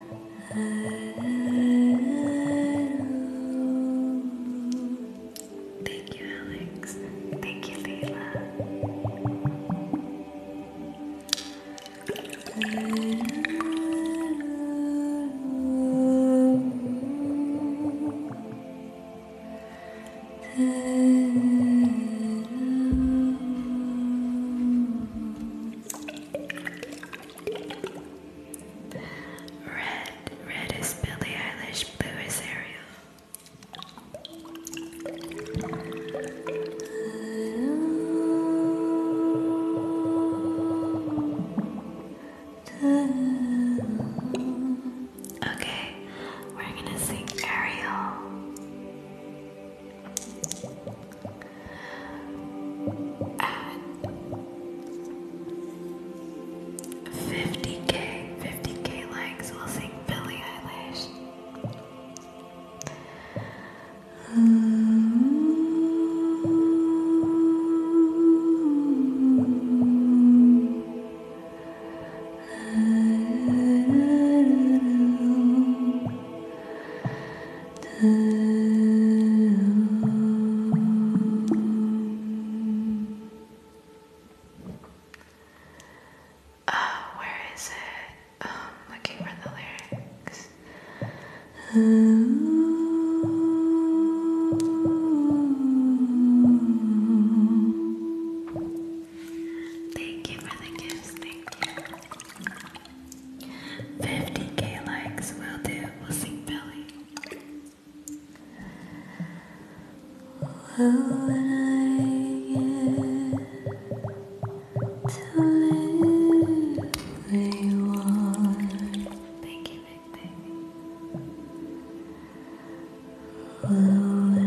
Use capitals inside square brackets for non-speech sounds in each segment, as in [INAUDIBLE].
Thank you, Alex. Thank you, Leila. Red, red is Billie Eilish, blue is Ariel. Okay, we're gonna sing Ariel. 50k, 50k likes, we'll sing Billie Eilish. Ah, where is it? Um, looking for the lyrics. thank you for the gifts, thank you. 50k likes will do. We'll sing Billy. Well, when I get to live, they you, big thing. I may.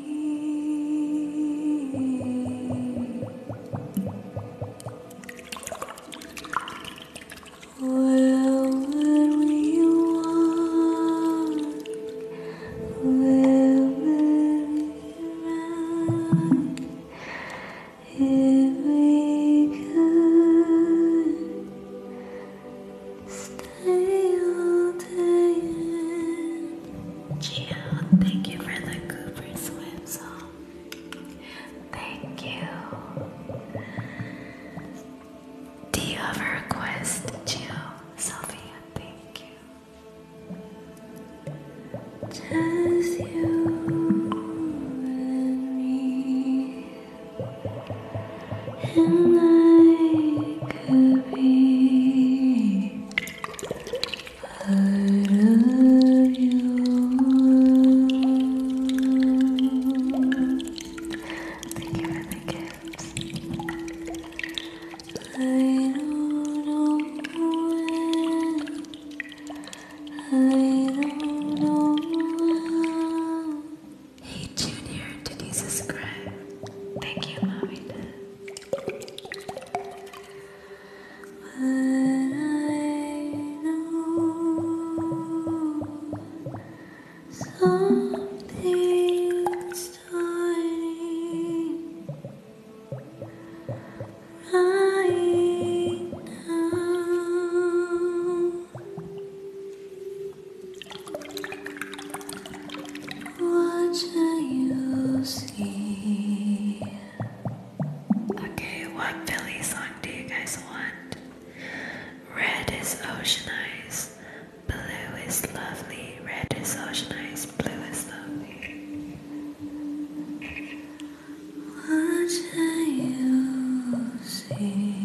Well, whatever you want, wherever you are, if we could stay all day. Jill, thank you for the Cooper Swim song. Thank you. Do you have a request, Jill? Sophia, thank you. Just you and me, and I could be I love you. Thank you for the gifts. I don't know when. I don't know when. Hey Junior, did you subscribe? Thank you, mommy. Dad. But I know something's starting right now. What do Okay, what Billy song do you guys want? Red is ocean eyes, blue is lovely, red is ocean eyes, blue is lovely. What do you see?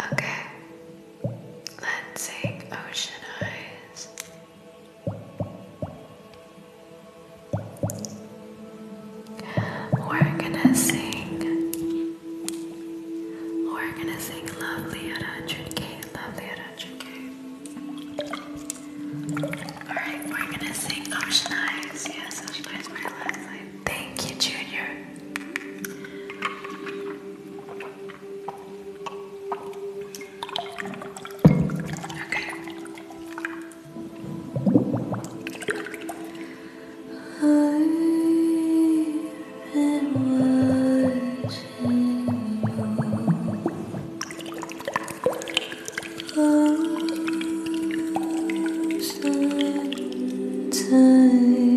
Okay, let's sing Ocean Eyes. We're gonna sing. We're gonna sing Lovely at 100k, Lovely at 100k. Alright, we're gonna sing Ocean Eyes. Yes, Ocean Eyes, my last line. Thank you, Junior. Okay. I've been watching you close and tight.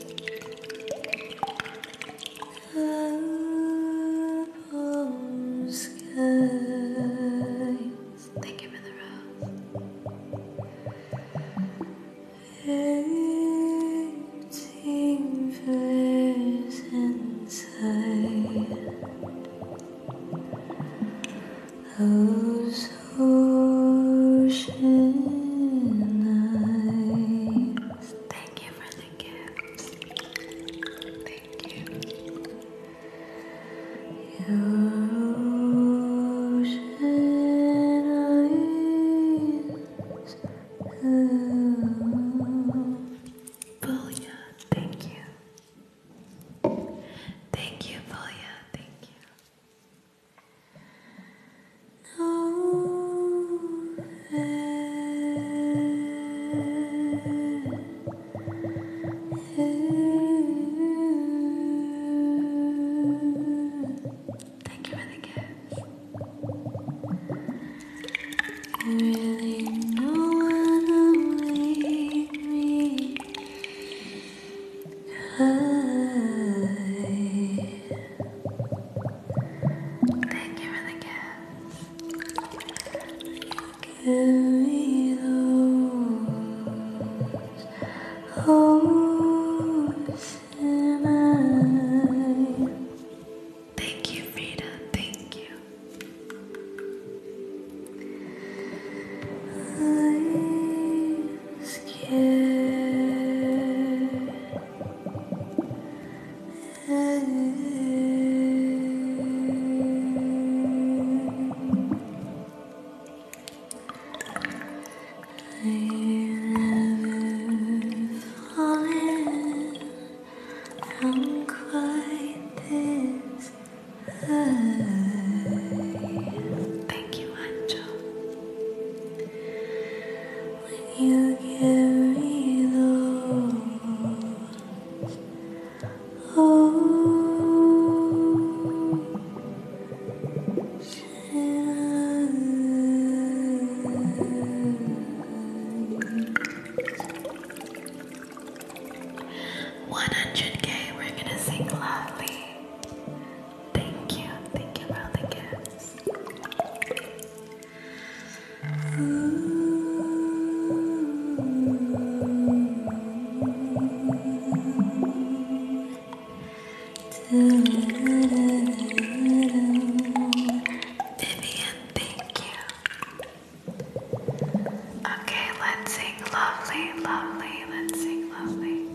Apple skies. Thank you for the rose. Eighteen fairs inside. Those oh, ocean eyes. Thank you for the gifts. Thank you. Your ocean eyes. Oh, Bulya, thank you. Thank you, Bulya, thank you. Thank you for the gift. Really, no one will leave me. Thank you for the gift. Give me those hopes and I. Thank you, Rita. Thank you. I'm scared never fallen from quite this high. Thank you, Angel when you give me those. Oh, one hundred K. We're gonna sing loudly. Thank you, thank you for the Vivian, thank you. Okay, let's sing lovely, lovely, let's sing lovely.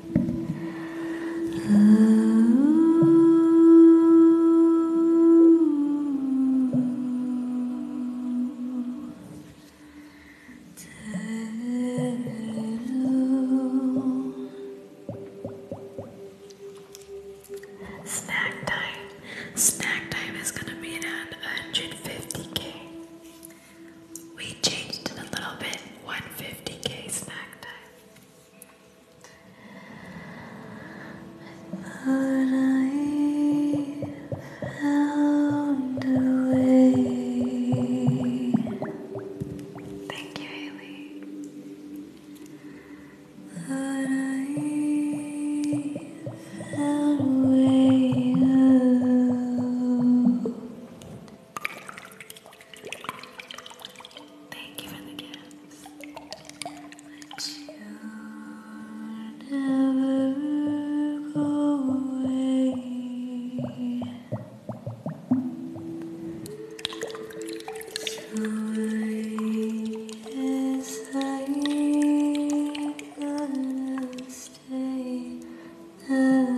Snack time. Snack time is gonna be at 150k. We changed it a little bit. 150k snack time. I I found a way. Thank you, I found a way. Out. Thank you for the gifts. But you'll never go away. So I guess I gotta stay now.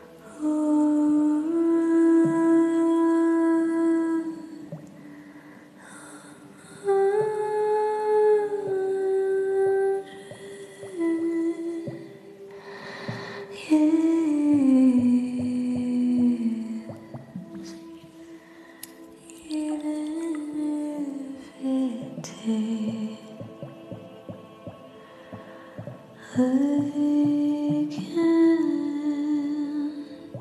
Even if it takes I can't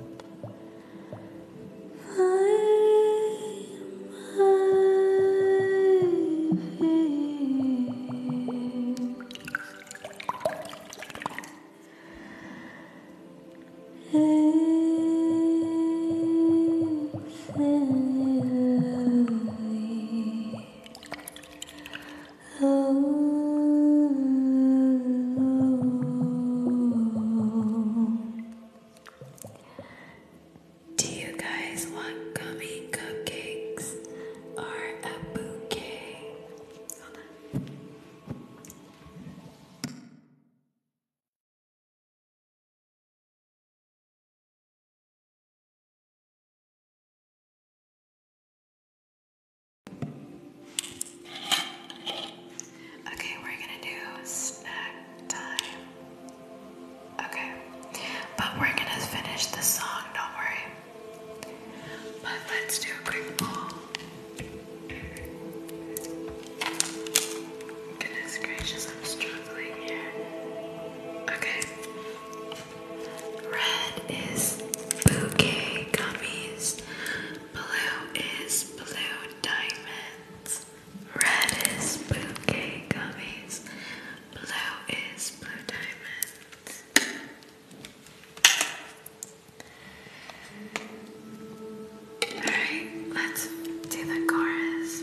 find my feet. It's Oh. Do you guys want gummy cupcakes or a bouquet? Okay, we're gonna do snack time. Okay, but we're gonna finish the song, don't worry. But let's do a quick poll. Goodness gracious, I'm struggling here. Okay, Red is bouquet gummies. Blue is blue diamonds. Red is bouquet gummies. Blue is blue diamonds. Alright, let's do the chorus.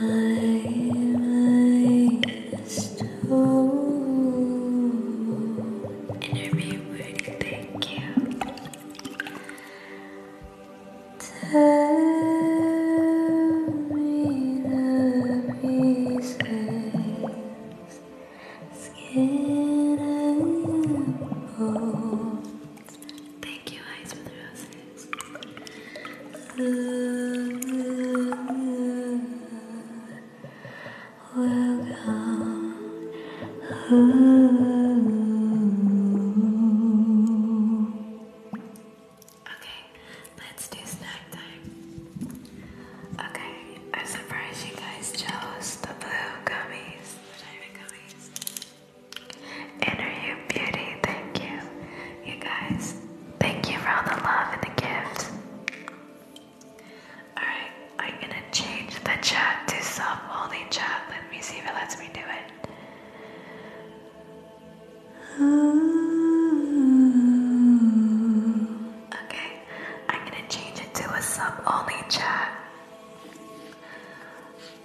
My mind is too interviewed. Thank you. Tell me the pieces. Skin and bone. Thank you, Eyes with Welcome. Okay, let's do snack time. Okay, i surprised you guys chose the blue gummies, the diamond gummies. Inner You Beauty, thank you. You guys, thank you for all the love and the gifts. Alright, I'm gonna change the chat to self only chat. Let me see if it lets me do it. Okay, I'm gonna change it to a sub only chat.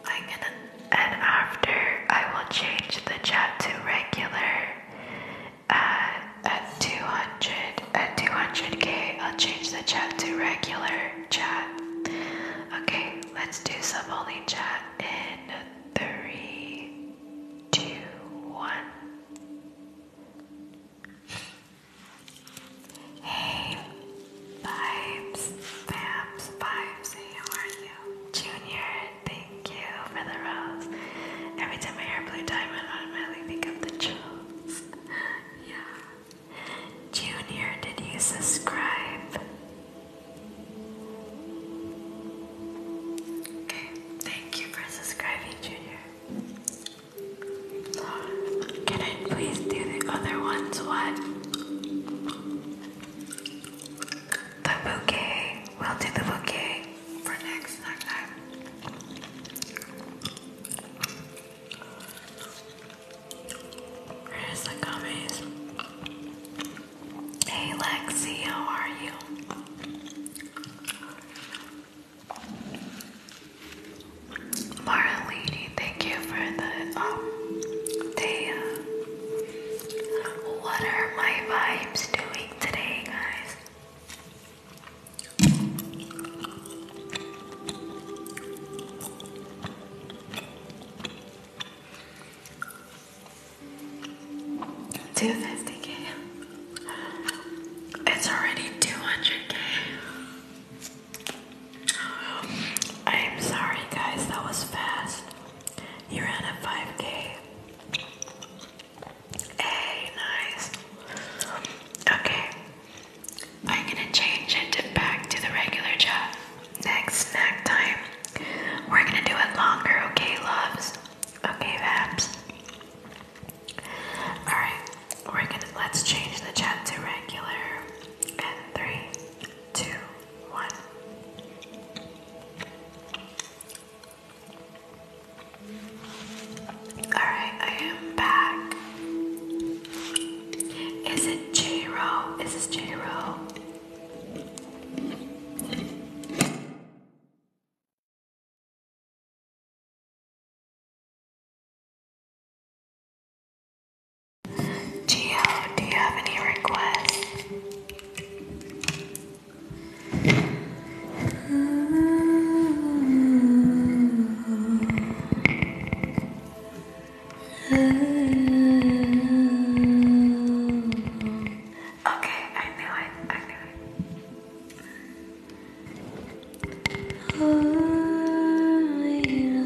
I'm gonna, and after I will change the chat to regular uh, at, at 200, at 200k, I'll change the chat to regular chat. Okay, let's do some only chat in three, two, one. Hey, Vibes, Vamps, Vibes, how are you? Junior, thank you for Every time I hear Blue Diamond, I automatically think of the chills. [LAUGHS] yeah. Junior, did you subscribe? Okay, thank you for subscribing, Junior. Can I please do the other ones? What? The bouquet. We'll do the bouquet for next time. Where's the gummies? Hey Lexi, how are you? Marlene, thank you for the um day. Uh, what are my vibes doing today, guys? Two fifty K. It's already two hundred K. I'm sorry, guys, that was fast. You ran a 5K. Hey, nice. Okay, I'm gonna change it back to the regular job. Next snack time, we're gonna do it longer, okay, loves? Okay, Vaps. All right, we're gonna let's change the chat to regular. And three, two, one. Alright, I am back. Is it J Row? Is this J Row? Geo, do you have any requests? Okay, I knew it. I knew it. Oh, you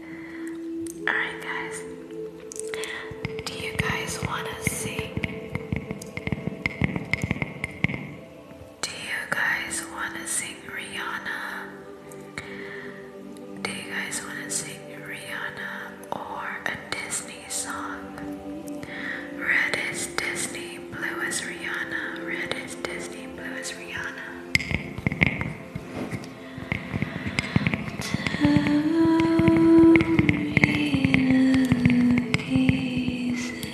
Alright, guys. Do you guys want to see? Do you guys want to sing Rihanna? Do you guys want to sing Rihanna or a Disney song? Red is Disney, blue is Rihanna. Red is Disney, blue is Rihanna. Tell me the pieces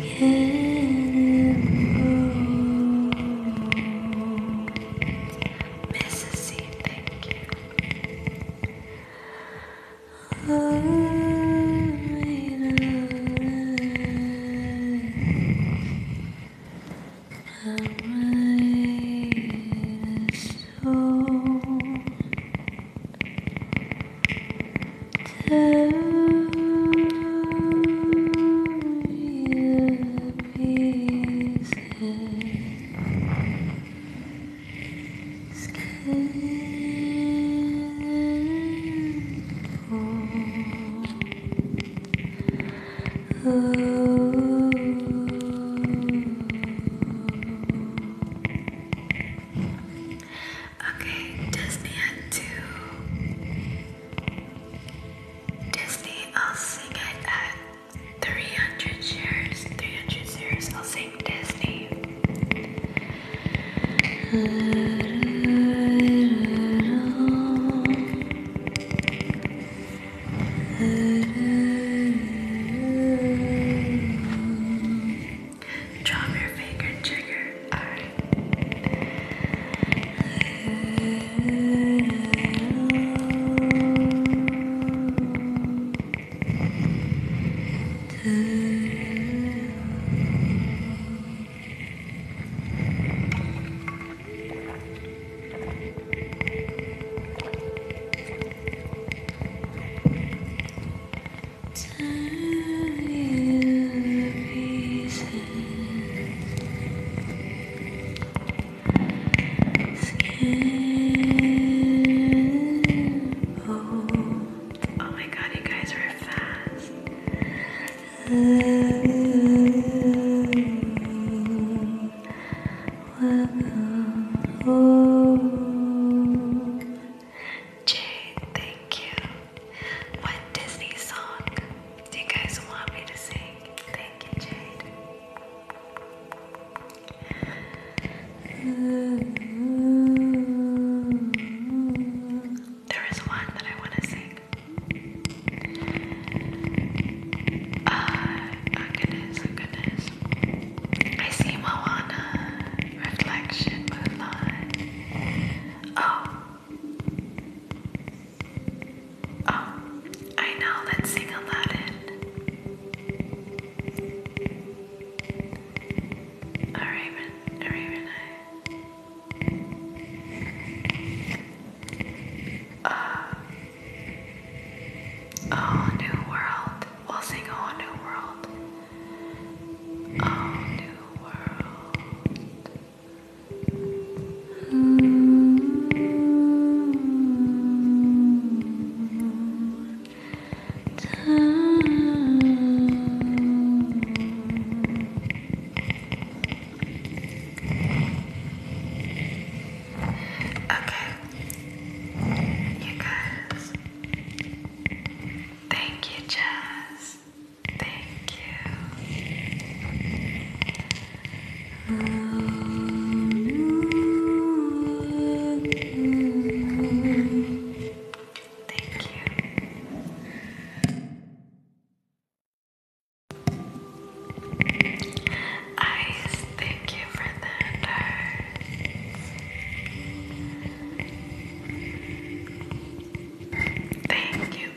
getting Mrs. C, thank you. Love and my soul tear you pieces, skin Okay, Disney at two. Disney, I'll sing it at 300 shares. 300 shares, I'll sing Disney. Drop your finger trigger. Alright. Oh my god, you guys were fast. Hello, thank you. What Disney song do you guys want me to sing? Thank you, Jade. There is one that I want to sing. Uh, oh goodness, oh goodness. I see Moana, reflection, Mulan. Oh. Oh, I know, let's sing A raven, a raven eye. Uh, a new world. We'll sing a new world. A new world. Mm Okay. You guys. Thank you, Jess. Thank you. Thank you. Ice, thank you for that. Thank you.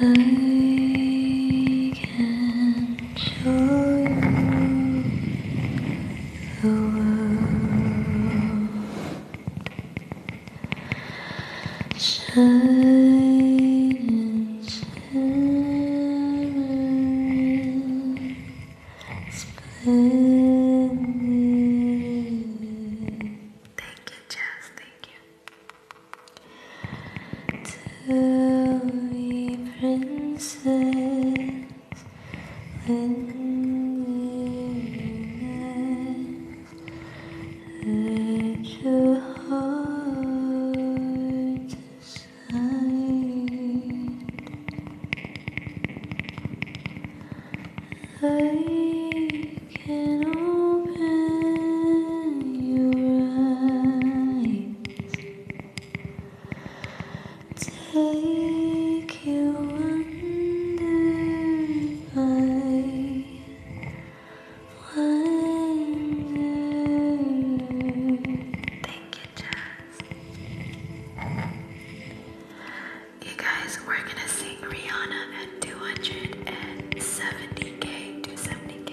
I can show you the world. Shining, shining, splendid. Thank you, Jess. Thank you. Tell you let your heart decide. I can open your eyes. Take you under my Thank you, Jazz. You guys, we're gonna sing Rihanna at 270k, 270k.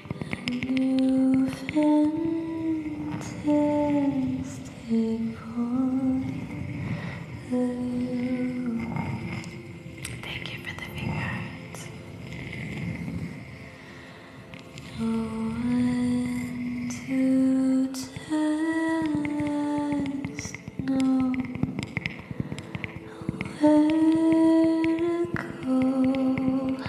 a new fantastic point Thank you for the fingers. No one to tell us no where to go.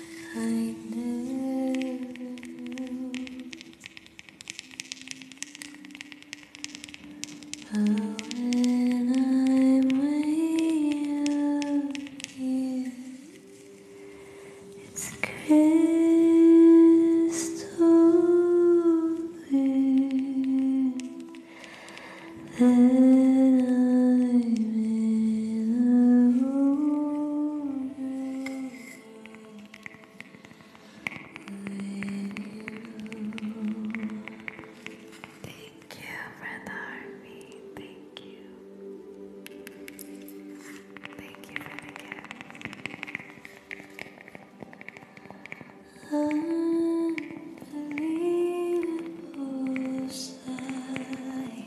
I know, But when I'm way out It's crystal clear That I'm in love Thank you for the army. Thank you. Thank you for the gift. Unbelievable sight.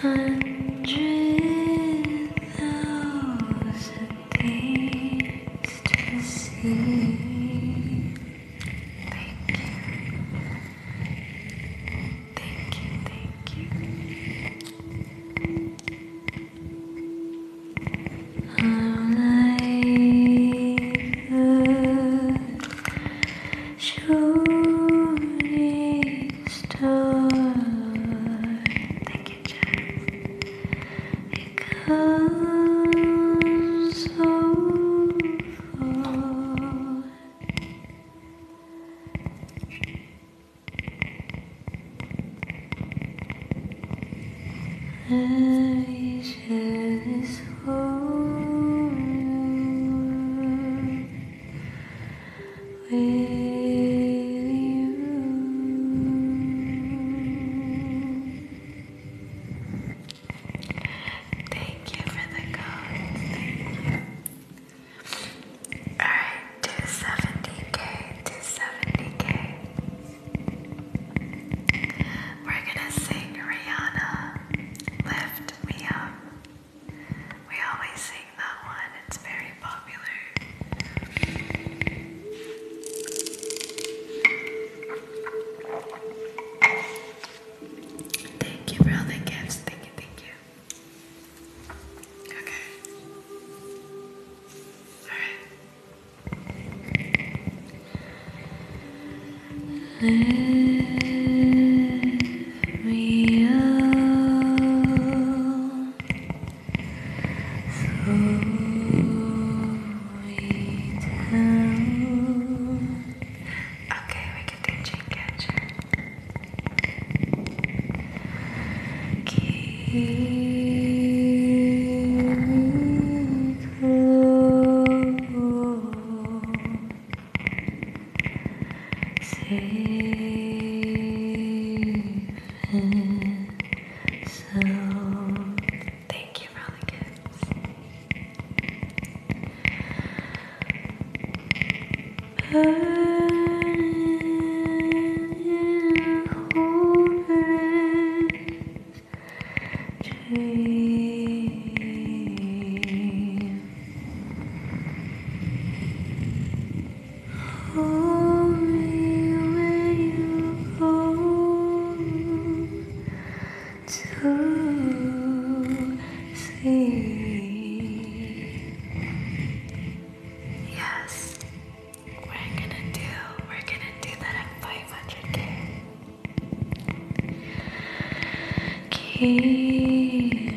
Hundred thousand things to see. Thank you. Thank you, thank you. I'm like the shooting restored. Thank you, Jeff. It goes so far. I share this home with you. Thank you for the code. Alright, 270k, 270k. We're gonna sing Rihanna. Lift me up. We always sing that one, it's very popular. Thank you for all the gifts. Thank you, thank you. Okay. Alright real. Slowly down. Okay, we can do chain close safe and sound. Thank you, Rollicans. Burning homeless dream. Hold me when you home to see. Yes, we're gonna do. We're gonna do that at five hundred k. Keep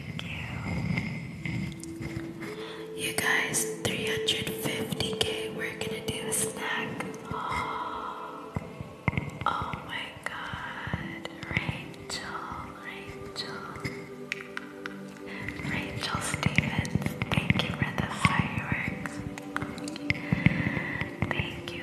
you. guys, 350k, we're gonna do a snack. oh my god. Rachel, Rachel. Rachel Stevens, thank you for the fireworks. Thank you.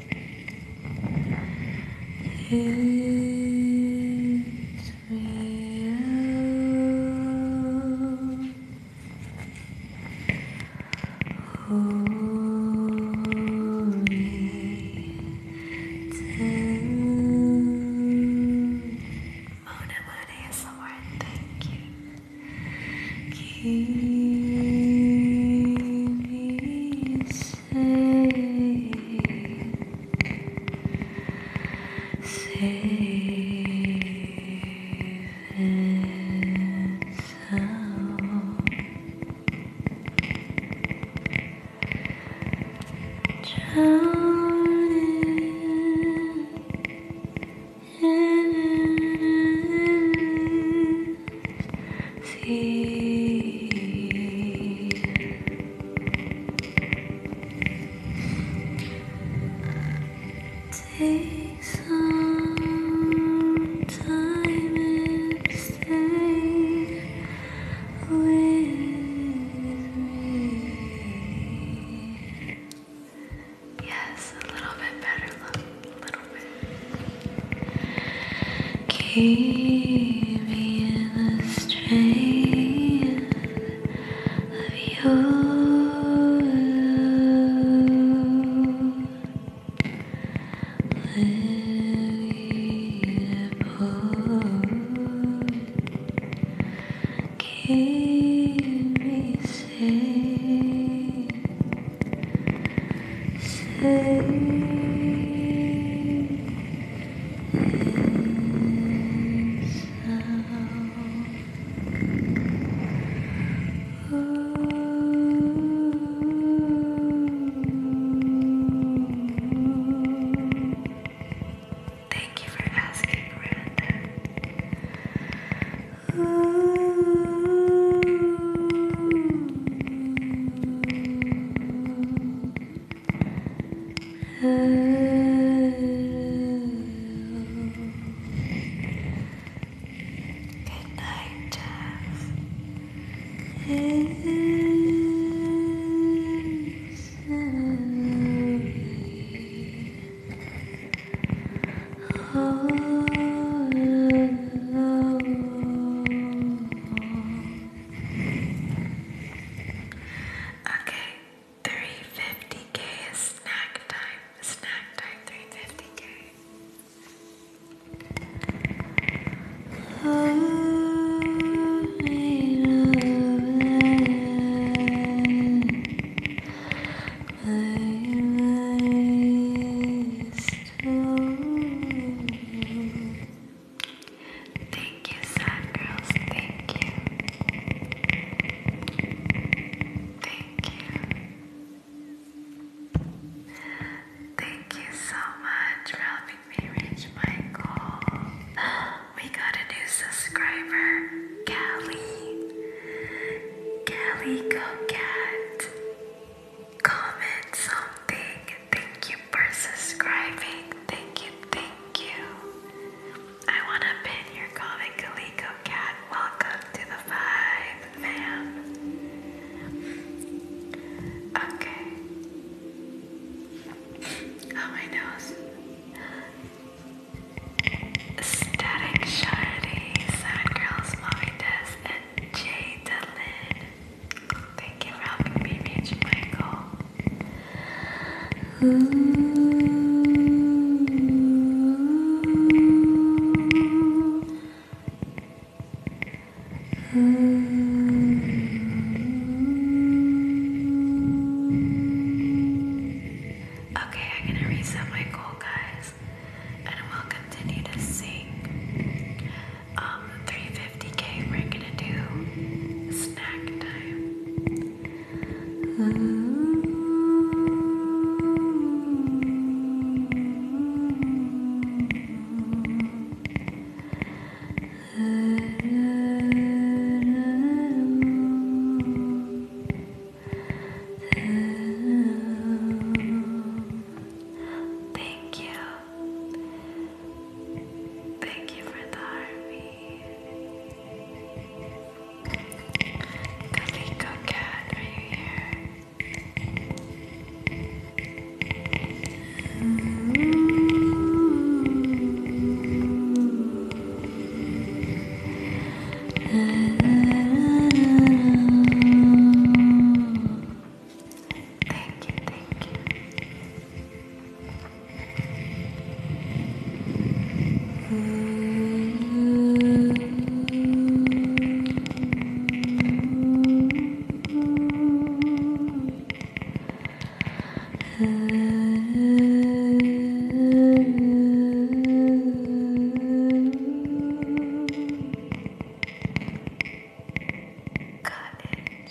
It's real. Holy Mona Mona is the word. Thank you. Keep me say, save and sound. in Take some time and stay with me. Yes, a little bit better, a little bit. Keep me in the strength of your love. Let it pour. Keep me safe. Safe. Thank you for asking, Miranda. Oh, night, Jeff. It's all alone. Okay, 350k is snack time. Snack time, 350k. I Thank you, sad girls. Thank you. Thank you. Thank you so much for helping me reach my goal. [GASPS] We got a new subscriber, Callie. Callie, go cat. Comment something thank you for subscribing. Thank you, thank you. I want to pin your comment, Coleco Cat. Welcome to the vibe, fam. Okay. Oh, my nose. Static Shardy, Sad Girls, Mommy Des, and Jay Delin. Thank you for helping me reach my goal. Okay, I'm gonna reset my goal, guys, and we'll continue to sing um, 350k, we're gonna do snack time. Thank you. Thank you for the army. Kaliko Cat, are you here? Thank you, thank you. Got it.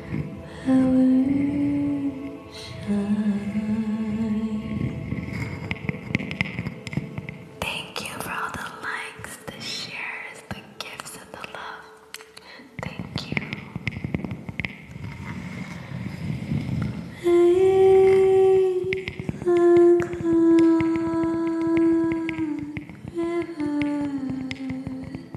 Thank you for all the likes, the shares, the gifts, and the love. Thank you. Hey, the cloud river.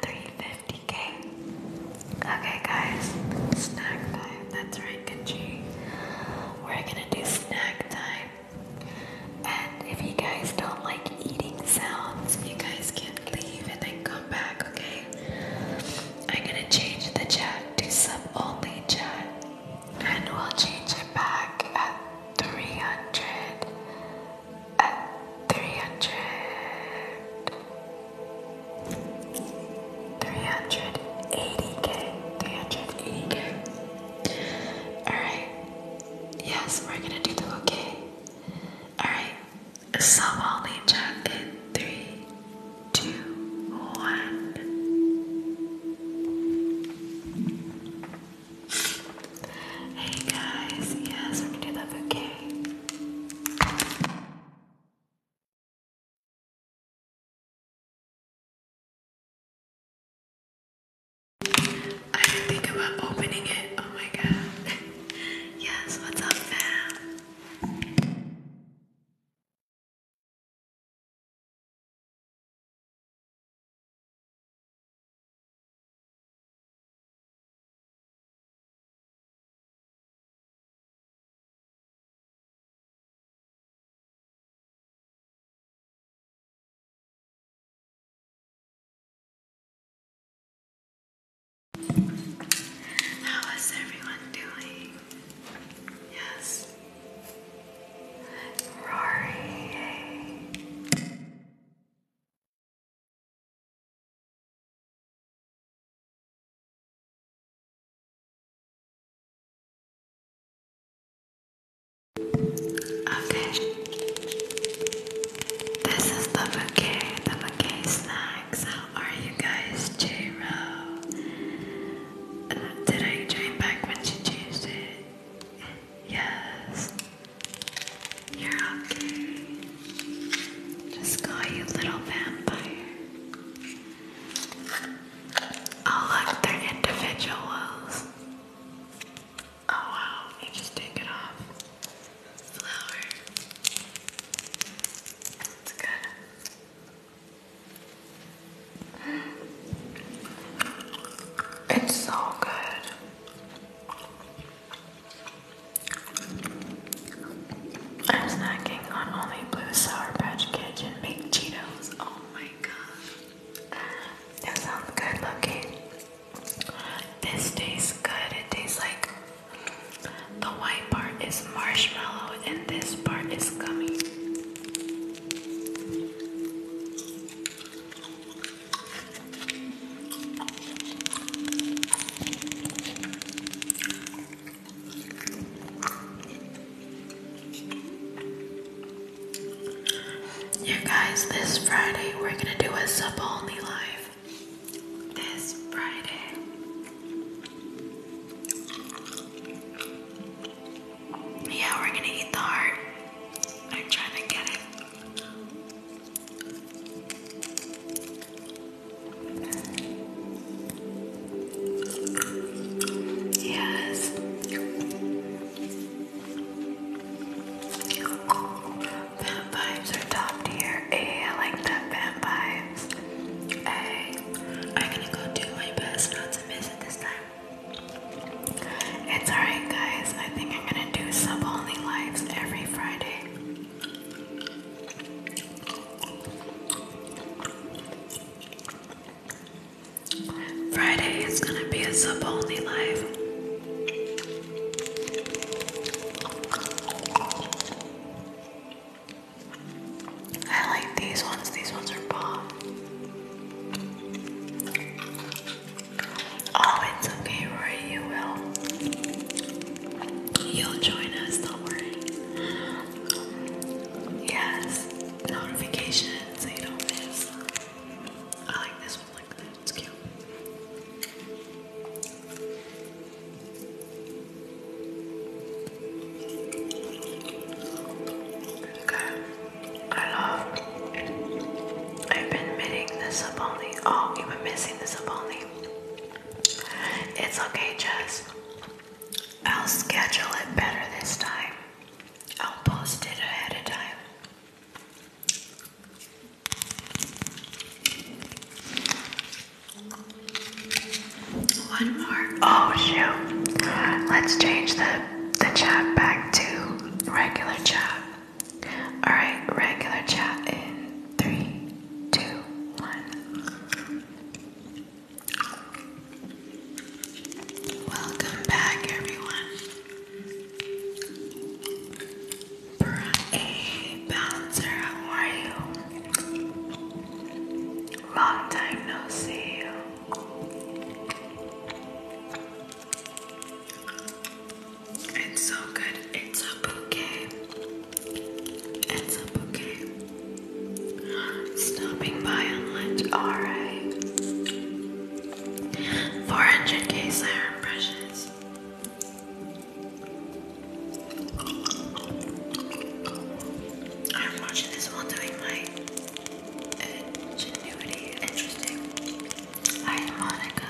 350k. Okay, guys, snack time. That's right, Gucci. We're gonna do snack time. And if you guys don't like eating sounds, you guys can leave and then come back, okay? I'm gonna change the chat to sub only chat. And we'll change it back at 300. At 300. 380k. 380k. Alright. Yes, we're gonna do the okay. Alright. So I'll name check three, two, one. Hey guys, yes, we're gonna do the bouquet. I think about opening it. Oh my god. [LAUGHS] yes, what's up, fam? How is everyone doing? Yes. Rory. Okay. This is the bouquet, the bouquet snacks. are you guys, J Did I join back when she changed it? Yes. You're okay. Just call you little vampire. Oh look, they're individuals. Oh wow, you just take it off. Flower. That's good. It's so good. I'm snacking on only blue Sour Patch Kids and baked Cheetos. Oh my god. That sounds good looking. This tastes good. It tastes like the white part is marshmallow and this part is gummy. You guys, this Friday we're gonna do a sub only live. This Friday. Yeah, we're gonna eat the heart. I'm trying to get it. Yes. Fan vibes are top tier. Hey, I like that fan vibes. Hey, I'm gonna go do my best not to miss it this time. It's alright, guys. I think I'm gonna do sub only lives every Friday. Friday is gonna be a sub only live. I like these ones, these ones are bomb. Oh, it's okay, Roy, you will. You'll join us, don't worry. Yes, notifications so you don't miss. I like this one like that, it's cute. Okay, I love I've been missing the Saboni. Oh, you've been missing the Saboni. It's okay, Jess. I'll schedule it better this time. I'll post it ahead of time. One more. Oh shoot. Let's change the the chat back to regular chat. Alright, regular chat in three, two, one. Welcome back, everyone. Brian Bouncer, how are you? Long time no see It's so good. It's a bouquet. It's a bouquet. Stopping by on lunch, alright. 400k siren brushes. I'm watching this while doing my ingenuity. Interesting. Hi, Monica.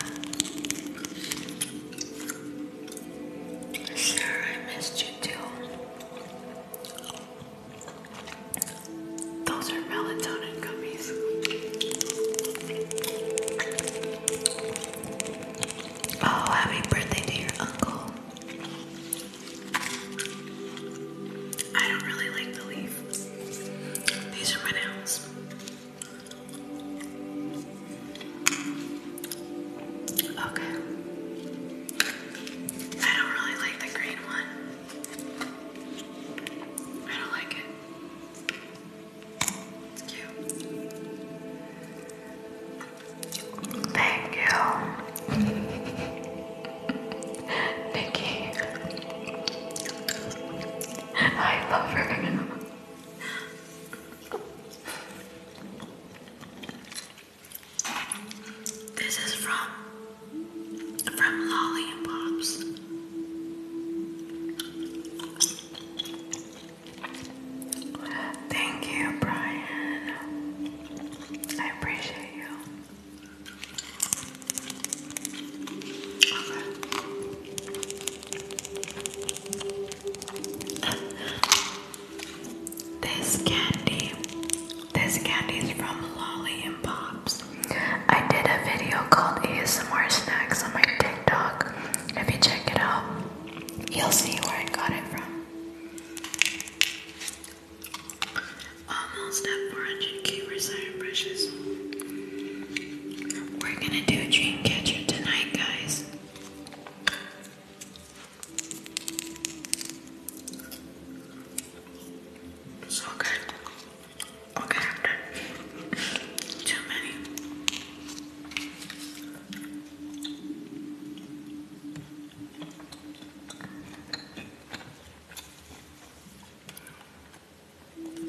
Sure, I missed you too. Those are melatonin gummies. Oh, happy birthday to your uncle. I don't really like the leaf. These are my nails. Okay. I don't really like the green one. I don't like it. It's cute. Thank you. [LAUGHS] Nikki. I love her. [LAUGHS] This is from from Lolly and Pops. Thank you, Brian. I appreciate you. This candy, this candy is from Lolly and Pops. I did a video called ASMR Snacks on my TikTok. If you check it out, you'll see where I got it from. Almost at 400k, we're We're gonna do a tonight, guys. Okay. Okay, after too many.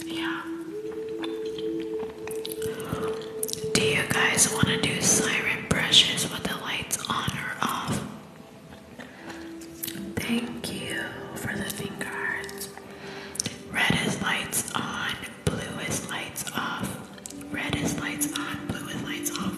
Yeah. Do you guys want to do siren? brushes with the lights on or off. Thank you for the finger Red is lights on, blue is lights off. Red is lights on, blue is lights off.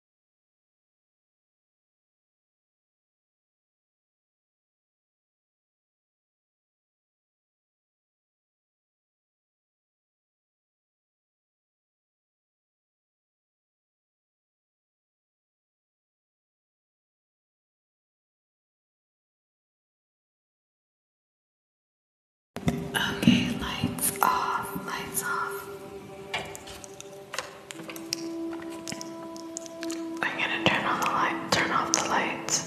Okay, lights off, lights off. I'm gonna turn on the light, turn off the lights.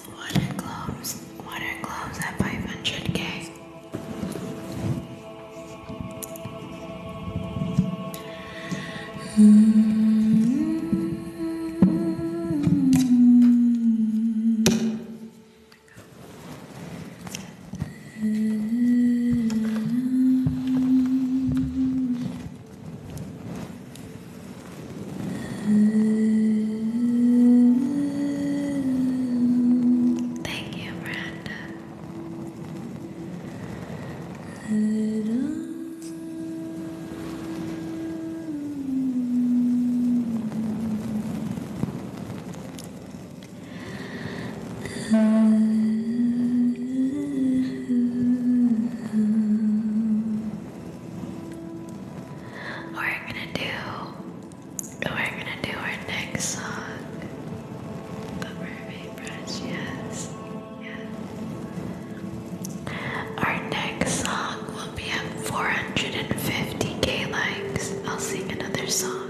Water gloves. Water gloves at 500k. Thank you, Miranda. We're gonna do we're gonna do our next song. The mermaid brush, Yes. Our next song will be at 450k likes. I'll sing another song.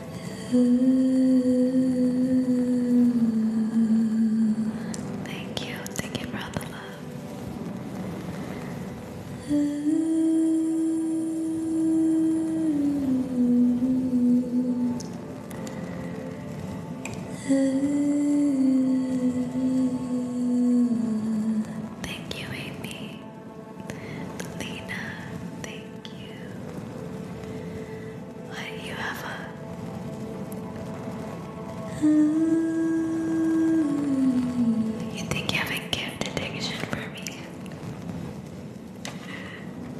Thank you, thank you for the love. Thank you, Amy. Lena, thank you. Why you have a you think you have a gift addiction for me?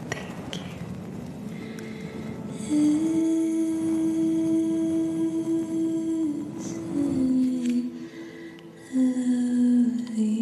Thank you. It's Lovely.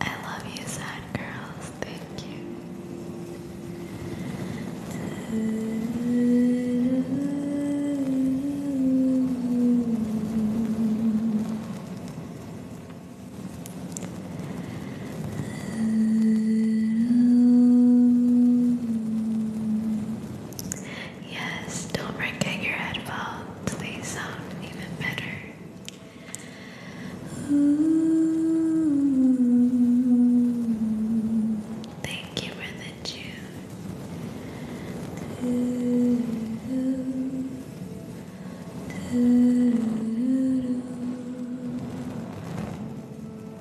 I love you, sad girls. Thank you. Yes, don't forget your headphones. They sound even better thank you for the tune.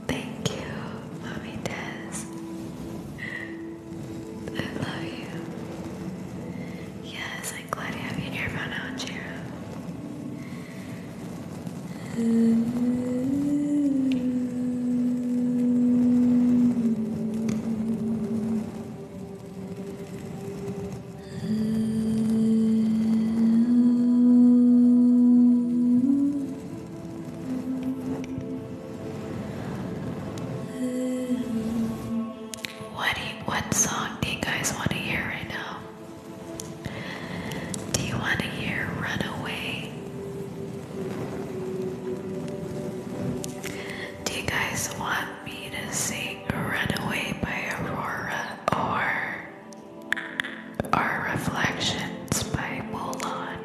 Thank you, Mommy Tess. I love you. Yes, like glad you have What you, what song do you guys want to hear right now? Do you want to hear Runaway? Do you guys want me to sing Runaway by Aurora or Our Reflections by Mulan?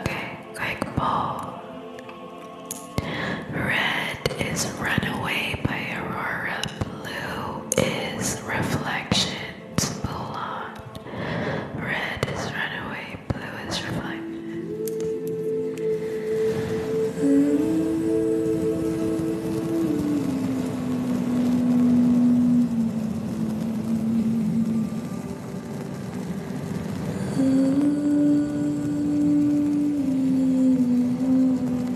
Okay, quick poll. Red is Runaway by Aurora. Blue is reflections, Mulan. Red is runaway, blue is reflection.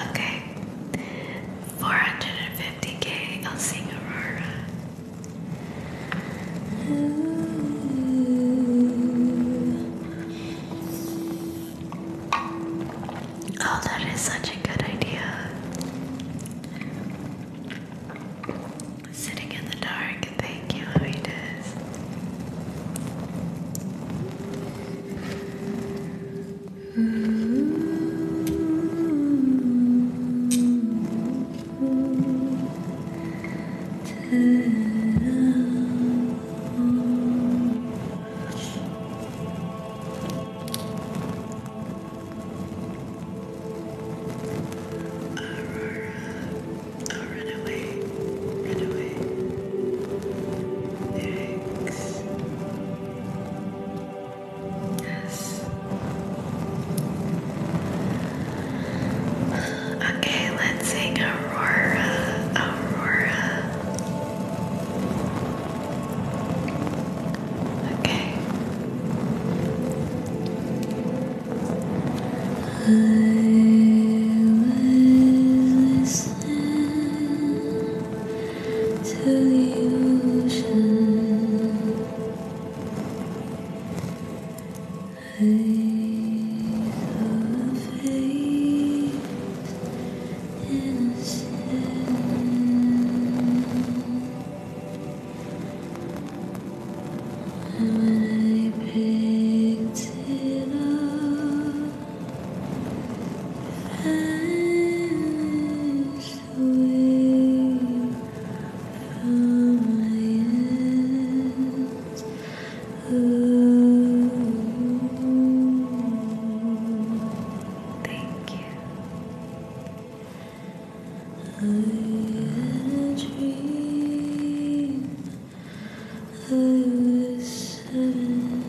Okay, 450k, I'll sing Aurora. Oh, that is such a good idea. Sitting in the dark, thank you, Avidas. Aurora, oh, run away, run away. Lyrics. Yes. Okay, let's sing Aurora, Aurora. Okay. I was listening to the ocean. I saw face in a and I picked it up and it's away from my hands. Oh, thank you. I had a dream. I was seven.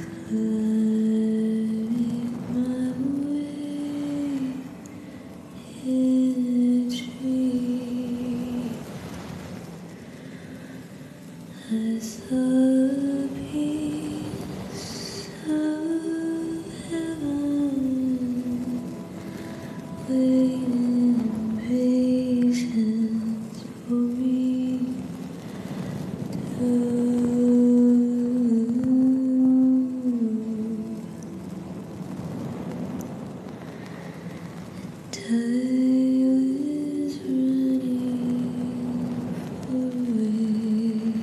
Climbing my way in a dream. I saw a piece of heaven, waiting patience for me Time is running away.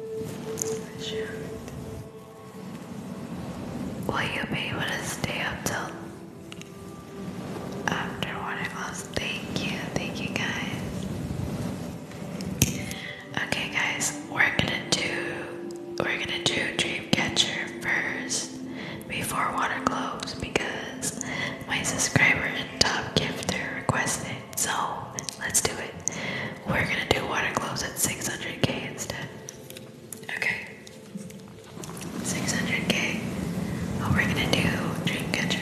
Will you be able to stay up till after one o'clock? Thank you, thank you guys. Okay guys, we're gonna do we're gonna do Dreamcatcher first before water globes because my subscriber and top gifter requested so let's do it. We're gonna do water gloves at 600k instead. Okay. 600k. Oh, we're gonna do dream catcher.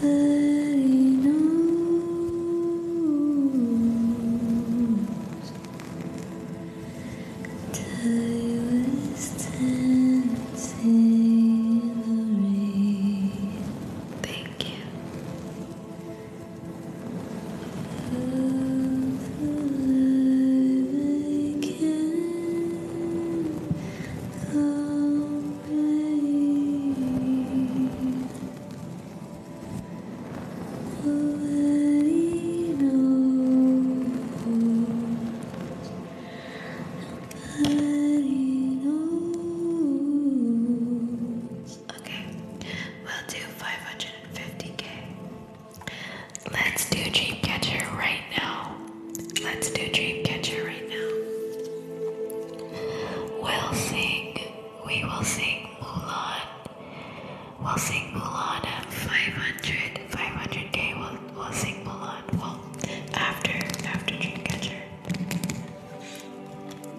He knows. Time is dancing the rain. Thank you. Of the light again. Oh, Okay, we'll do 550k. Let's do Dreamcatcher right now. Let's do Dreamcatcher right now. We'll sing, we will sing Mulan. We'll sing Mulan at 500, 500k. We'll, sing Mulan. Well, after, after Dreamcatcher.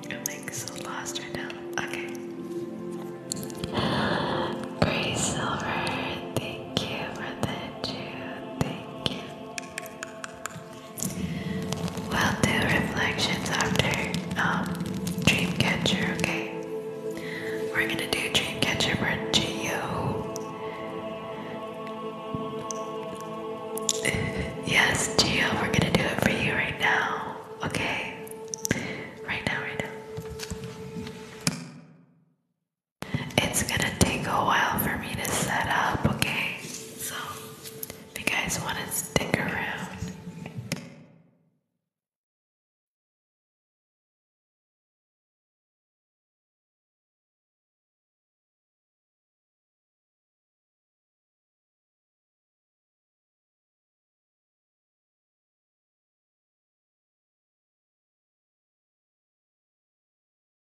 I'm like so lost right now. Okay. Gray Silver, thank you for the two. Thank We'll do reflections after um, Dreamcatcher, okay? We're gonna do Dreamcatcher for Geo. [LAUGHS] yes, Geo, we're gonna do it for you right now, okay? Right now, right now. It's gonna take a while for me to set up, okay? So, if you guys want to stick around.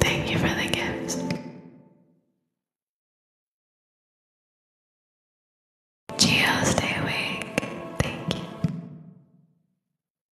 Thank you for the gifts. Geo, stay awake. Thank you.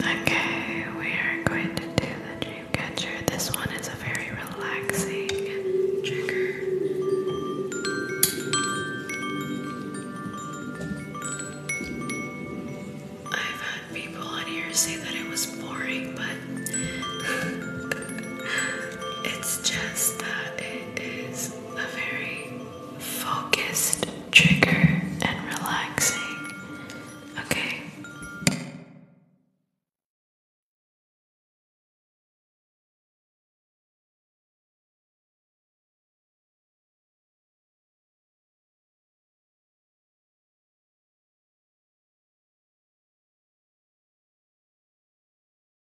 Okay, we are going to do the dream This one is a very relaxing I've had people on here say that it was boring, but [LAUGHS] it's just that it is a very focused trigger and relaxing. Okay.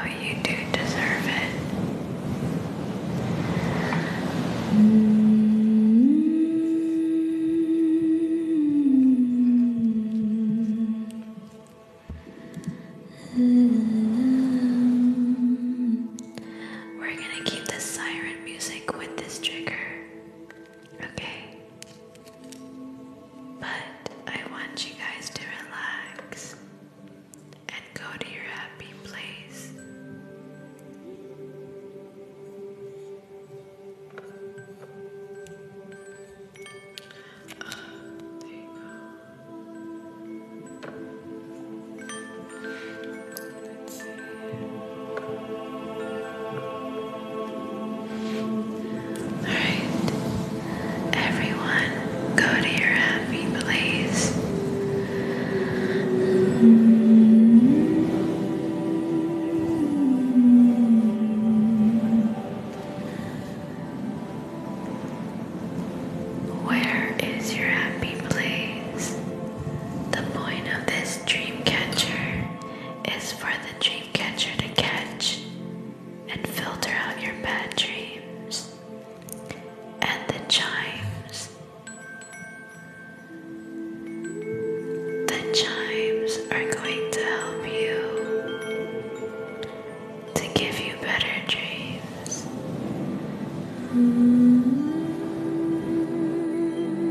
And you do deserve it. We're going to keep the siren music with this trigger. Okay? But I want you guys to relax and go to your happy place. Alright. Everyone, go to your happy place. Where is your happy place? The point of this dream is for the dream catcher to catch and filter out your bad dreams and the chimes. The chimes are going to help you to give you better dreams.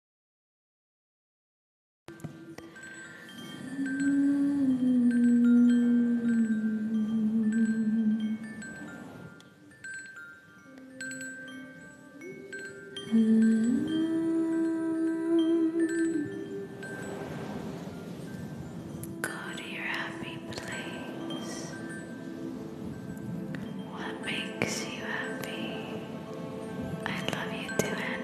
Go to your happy place. What makes you happy? I love you too, Anna.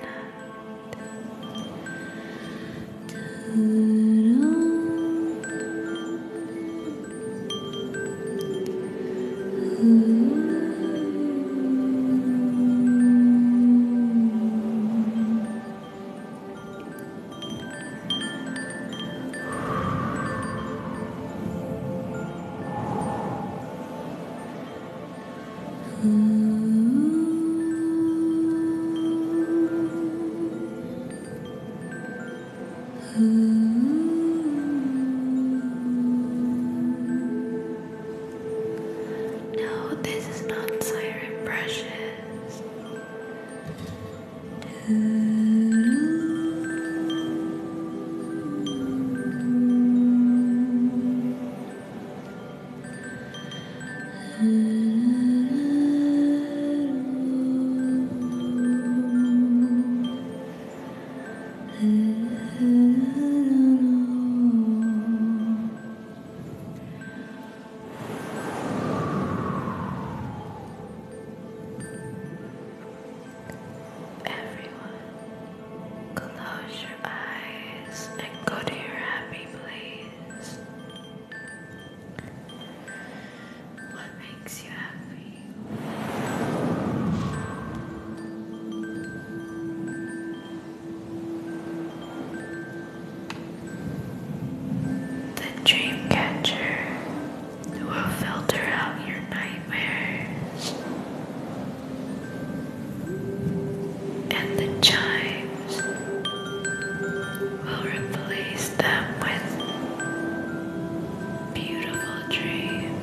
No, this is not siren brushes. Everyone, close eyes and go to your happy place. What makes you happy? The dream will filter out your nightmares and the chimes will replace them with beautiful dreams.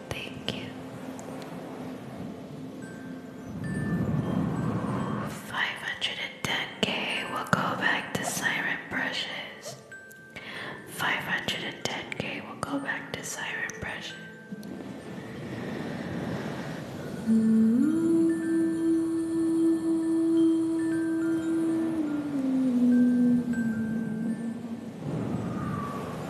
Thank you. Five hundred and ten K will go back to siren brushes. Five hundred and ten K will go back to siren brushes.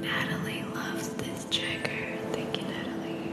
Natalie loves this trigger. Thank you, Natalie.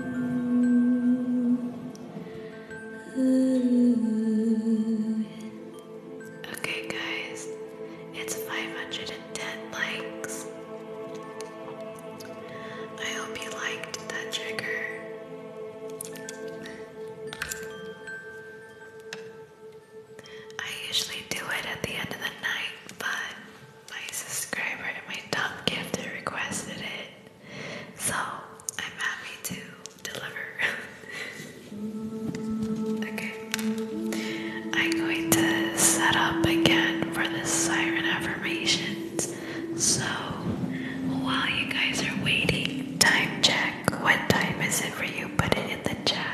Okay, guys, it's 510 likes. I hope you liked that trigger. I usually do it at the end of the night, but my subscriber and my top gifter requested it, so I'm happy to deliver. [LAUGHS] okay, I'm going to set up again for the siren affirmations. So while you guys are waiting, time check. What time is it for you? Put it in the chat.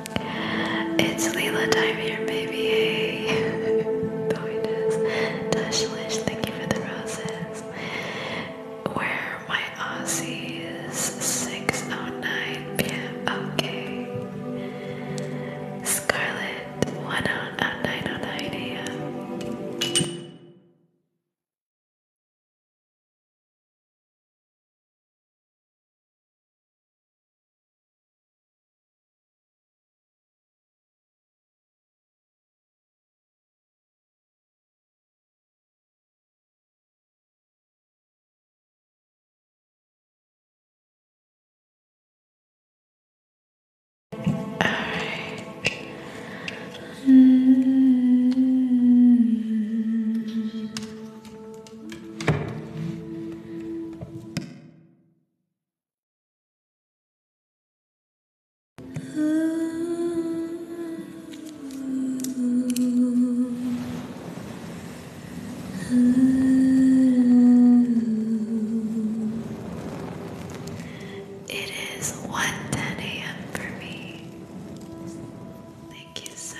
It's Leila time here, baby. [LAUGHS] Dashlish, thank you for the roses. Where my Aussies? 609 p.m. Okay. Scarlet, 109 a.m. All right. Mm. It is 1:10 a.m. for me. Thank you, Zach.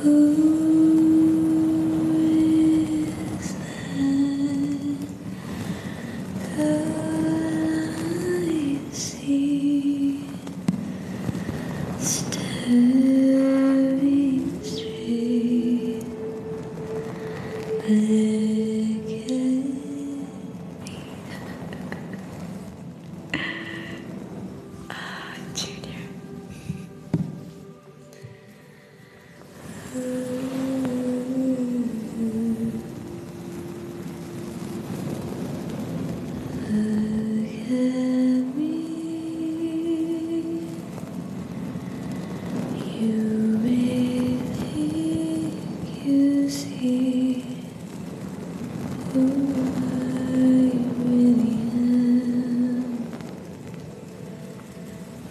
Who is that I see staring straight back at me? Ah, Junior. Look at me. You may you see who I really am.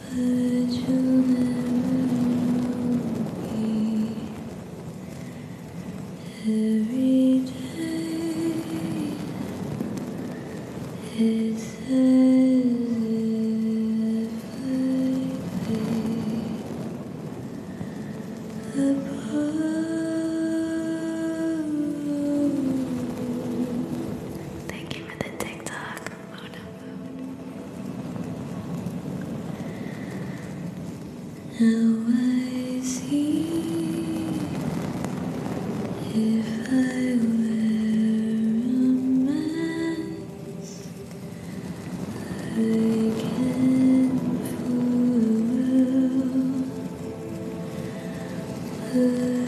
But you'll never me. Every day it's as if I lay above. Thank you for the TikTok, Mona I see if I wear a mask. I can fool Ooh,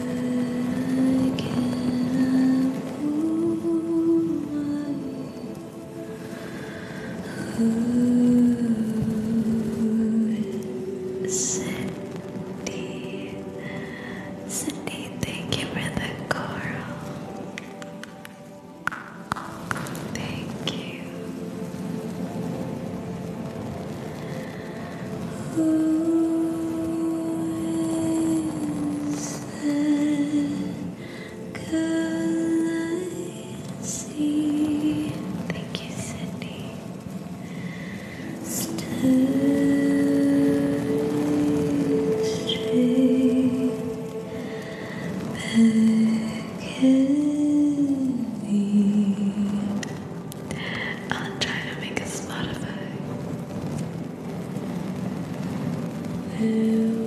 Cindy, Cindy, thank you for the coral. Thank you. Thank you, Sydney. Stand straight back at me i am trying to make a Spotify. There I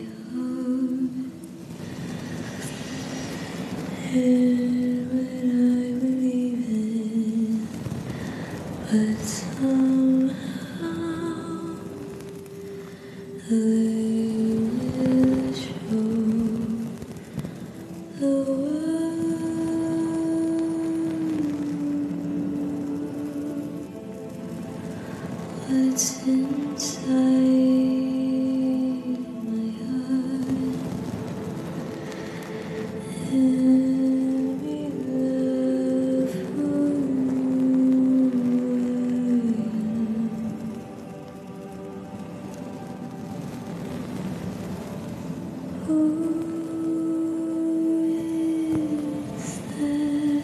And what I believe in, but somehow I will show the world what's inside my heart. Every love for Who is that?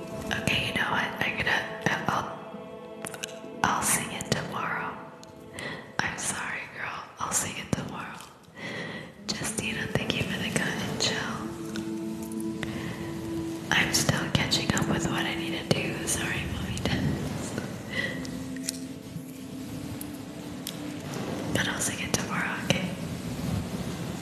Okay, you know what? I'm gonna. I'll. I'll sing it tomorrow. I'm sorry, girl. I'll sing it tomorrow. Justina, thank you for the and chill. I'm still catching up with what I need to do. Sorry, mommy does. But I'll sing it tomorrow, okay?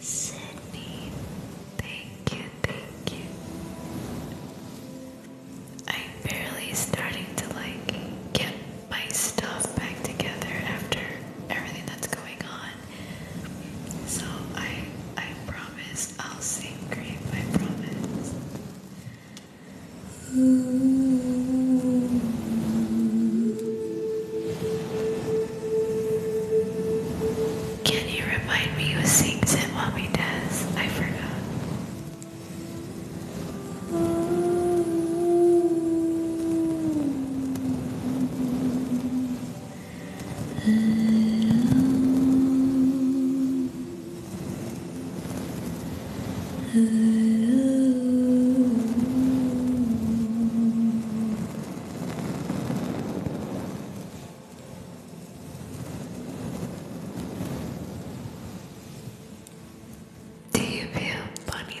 Sydney, thank you, thank you. I'm barely starting to like get my stuff back together after everything that's going on. So I I promise I'll sing great. I promise. Can you remind me who sings it while we does? I forgot. Do you feel funny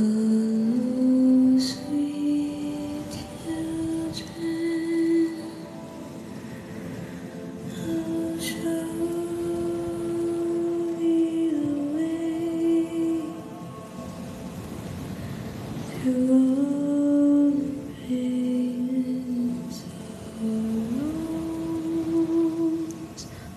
Oh, sweet children, I'll show thee the way through all the pain and sorrows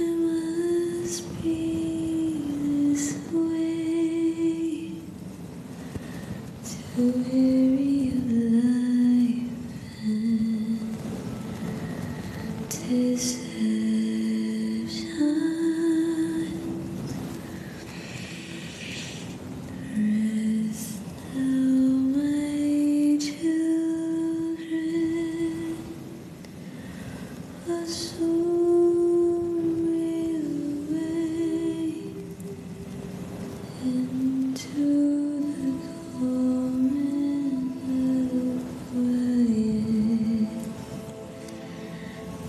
It must be this way to weary of life and deception. Rest now, my children. I soared away into the common quiet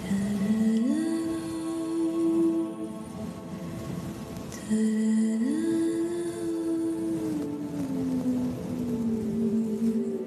Da -da -da -da -da.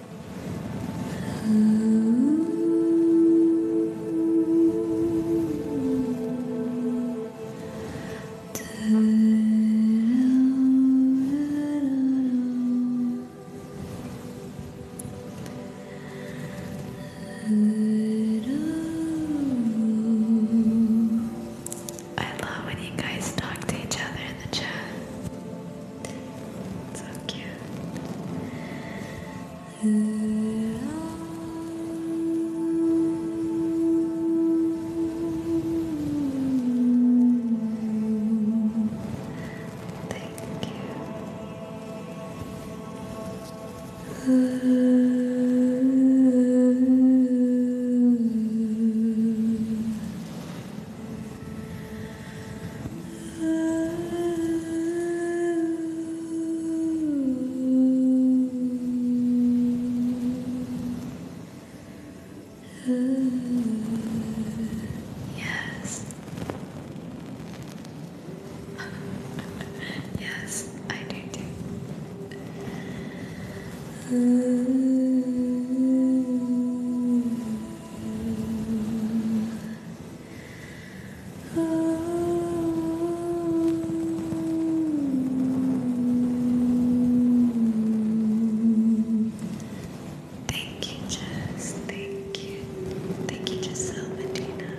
I love when you guys talk to each other in the chat. So cute. Thank you. Yes. yes, I do too. Mm-hmm. Thank you, Jess. Thank you. Thank you, Giselle Medina.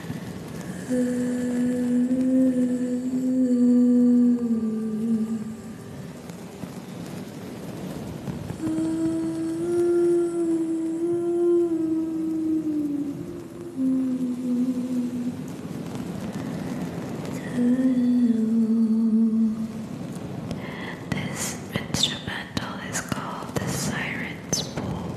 This instrumental is called the Siren's Pool.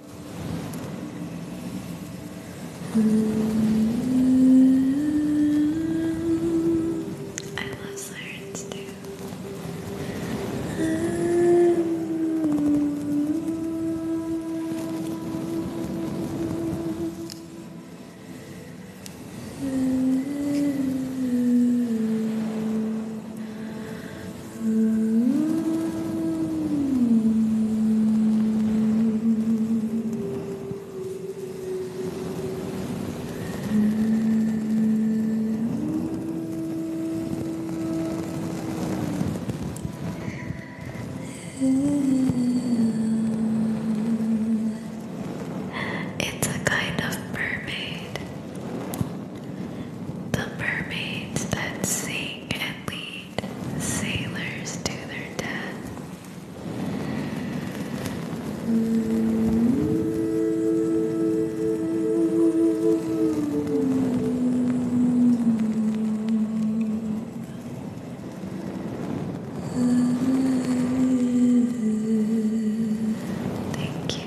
I love sirens too. Mm-hmm. It's a kind of mermaid. The mermaids that sing and leave eight sailors to their death. Thank you.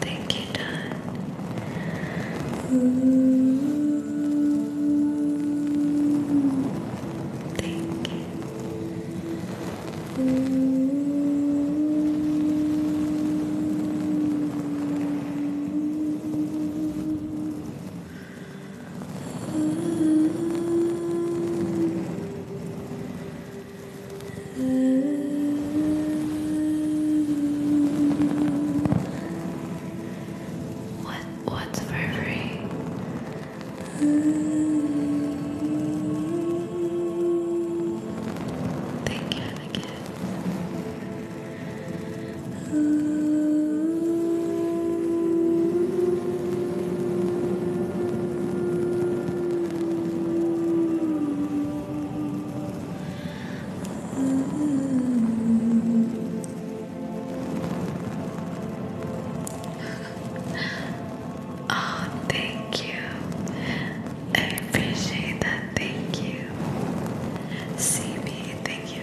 Thank you, Don. Thank you. What what's for free? Thank you again oh, thank you. I appreciate that. Thank you. See Thank you.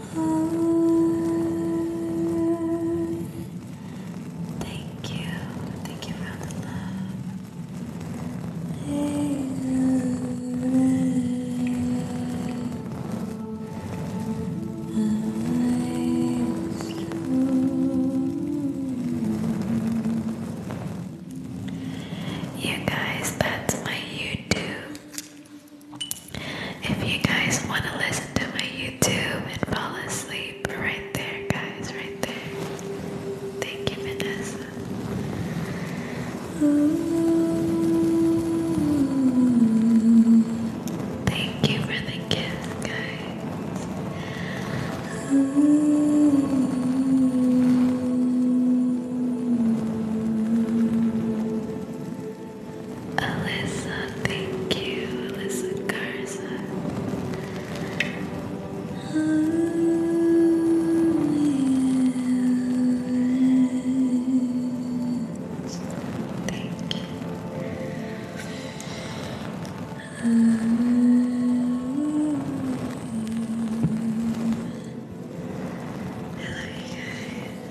Thank you. Thank you for the love. You guys, that's my YouTube. If you guys want to listen to my YouTube and fall asleep, right there, guys, right there. Thank you, Vanessa. Ooh. Thank you for the kiss, guys. Alyssa, thank you, Alyssa Garza. Oh, yeah. Thank you. Oh. Hello, you guys.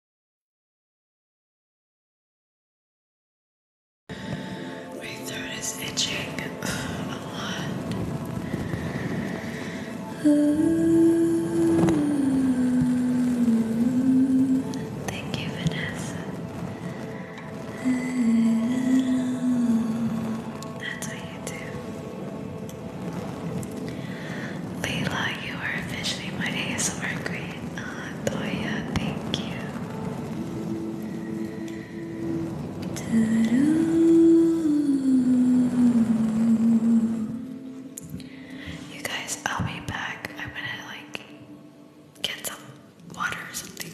My throat is itching a lot. Ooh. Thank you, Vanessa. Ooh. That's what you do. Leila, you are officially my ASMR queen. Ah, Toya, thank you. You guys, I'll be back. I'm gonna like get some water or something.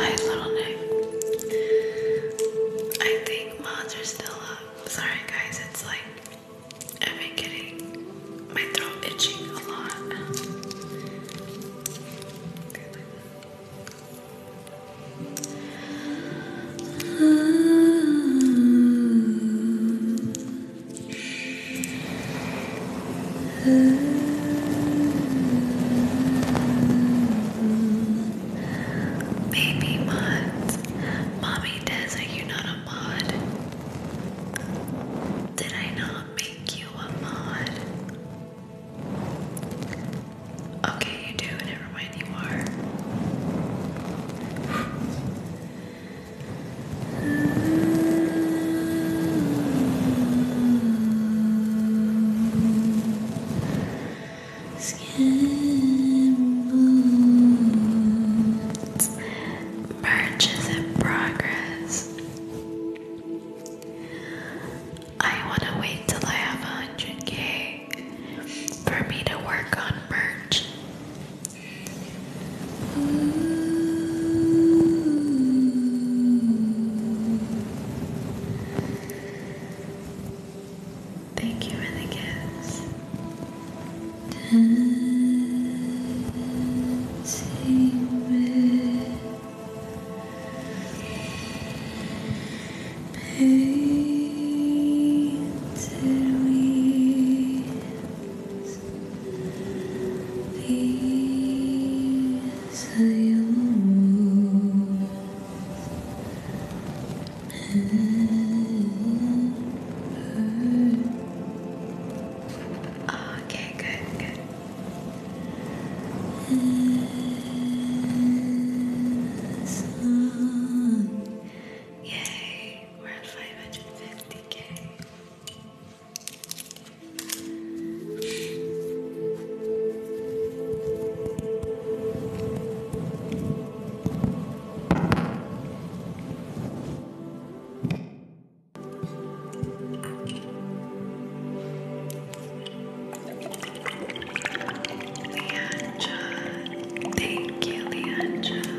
Hi, little Nick. I think mods are still up. Sorry guys, it's like i am getting my throat itching a lot. Baby mommy me Are you not a mod? Did I not make you a mod? Okay, you do. Never mind, you are skin Merch is in progress. I want to wait till I have 100k for me to work on merch. Thank you for the gifts. Dancing with painted wings. These your moves. Okay, good, good. Yay, we're at 550k. Leandra, thank you, Leandra.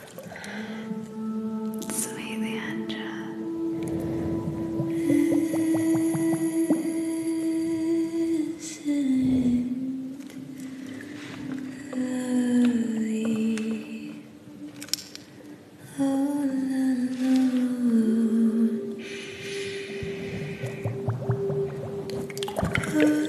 Sweet angel, Isn't lovely all alone. Heart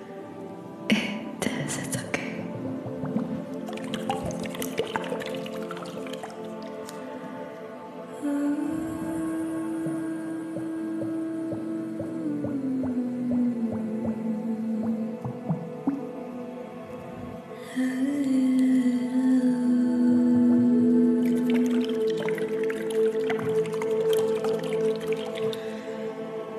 It is, it's okay.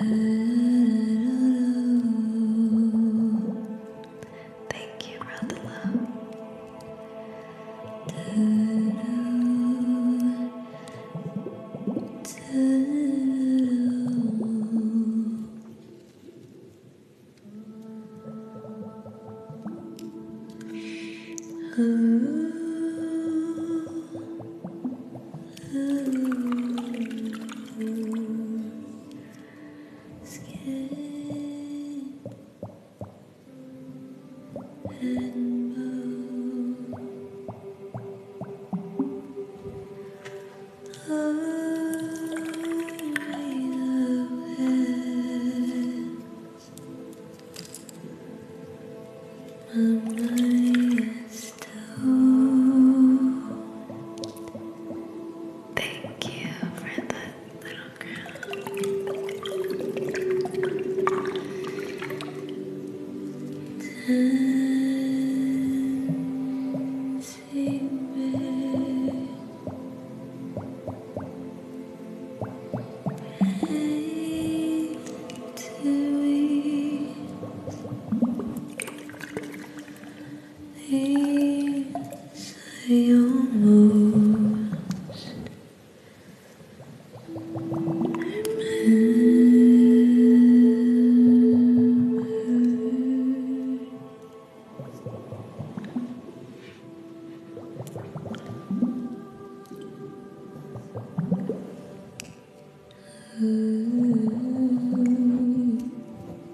Thank you for the love skin and bone. Oh, I love it. My Thank you for that little crown. Dancing Eight to things I almost remember.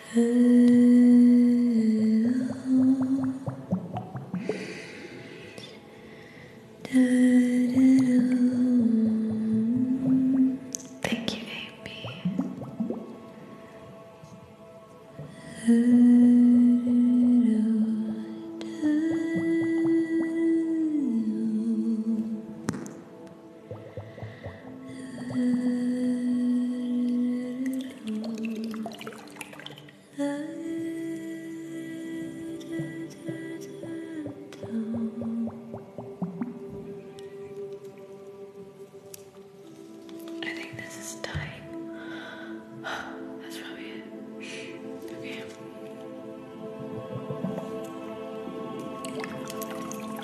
Thank you, baby. I think this is time. [SIGHS] That's probably it. Okay.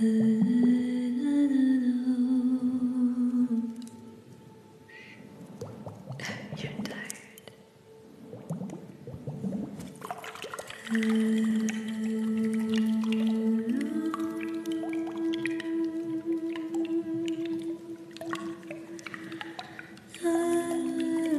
You're tired.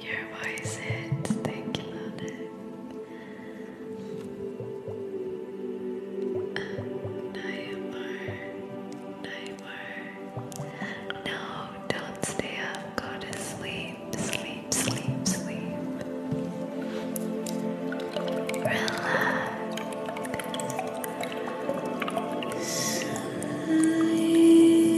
Your voice hits. Thank you, Monet. Um, uh, Naimar. Naimar. No, don't stay up. Go to sleep. Sleep, sleep, sleep. Relax. Sleep.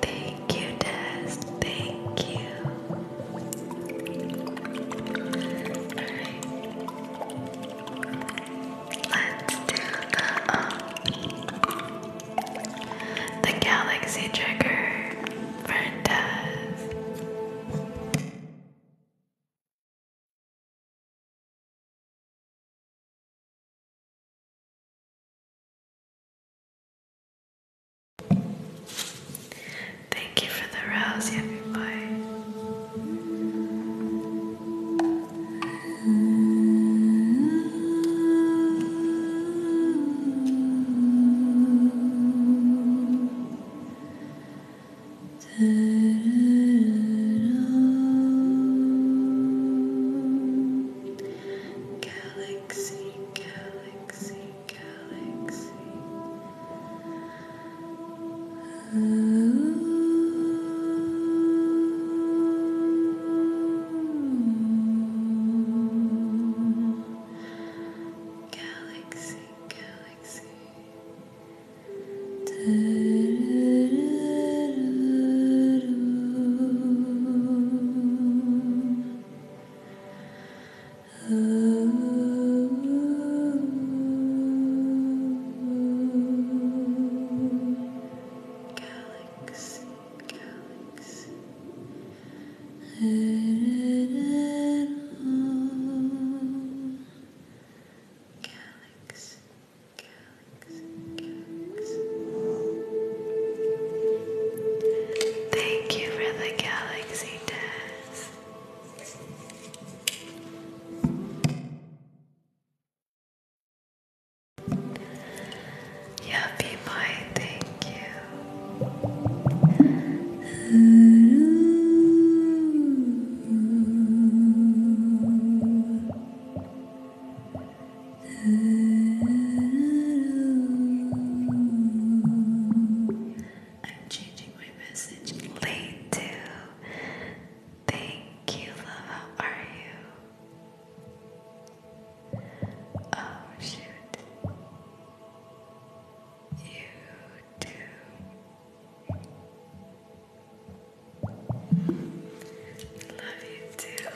Thank you, Des. Thank you. Alright. Let's do um, the galaxy trigger for Des. Thank you for the rose, happy boy. Galaxy, galaxy galaxy, galaxy. Ooh. Galaxy, galaxy. Da -da -da -da -da Galaxy, galaxy. Galaxy, galaxy, galaxy. Thank you for the galaxy test. Yuppie Pie, thank you. I'm changing my message late too. Thank you, love. How are you? Oh shoot. You do. Love you too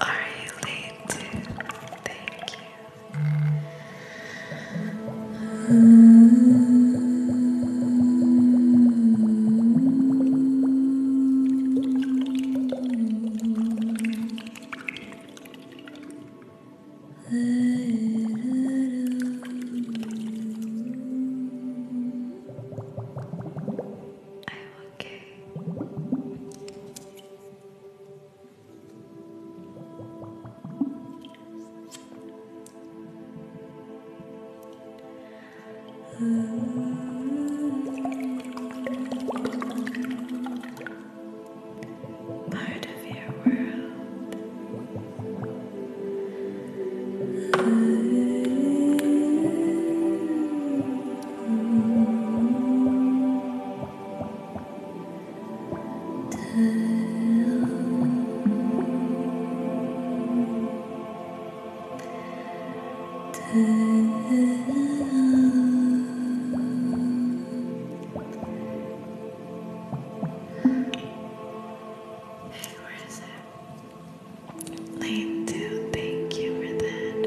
are you, lady? Thank you. I'm okay. Part of your world. Where is it? Lane two, thank you for that heart.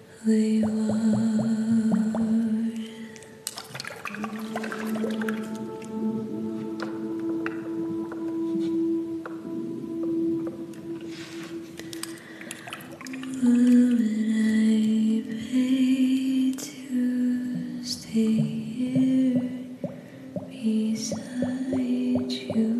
they are. I pay to stay here beside you?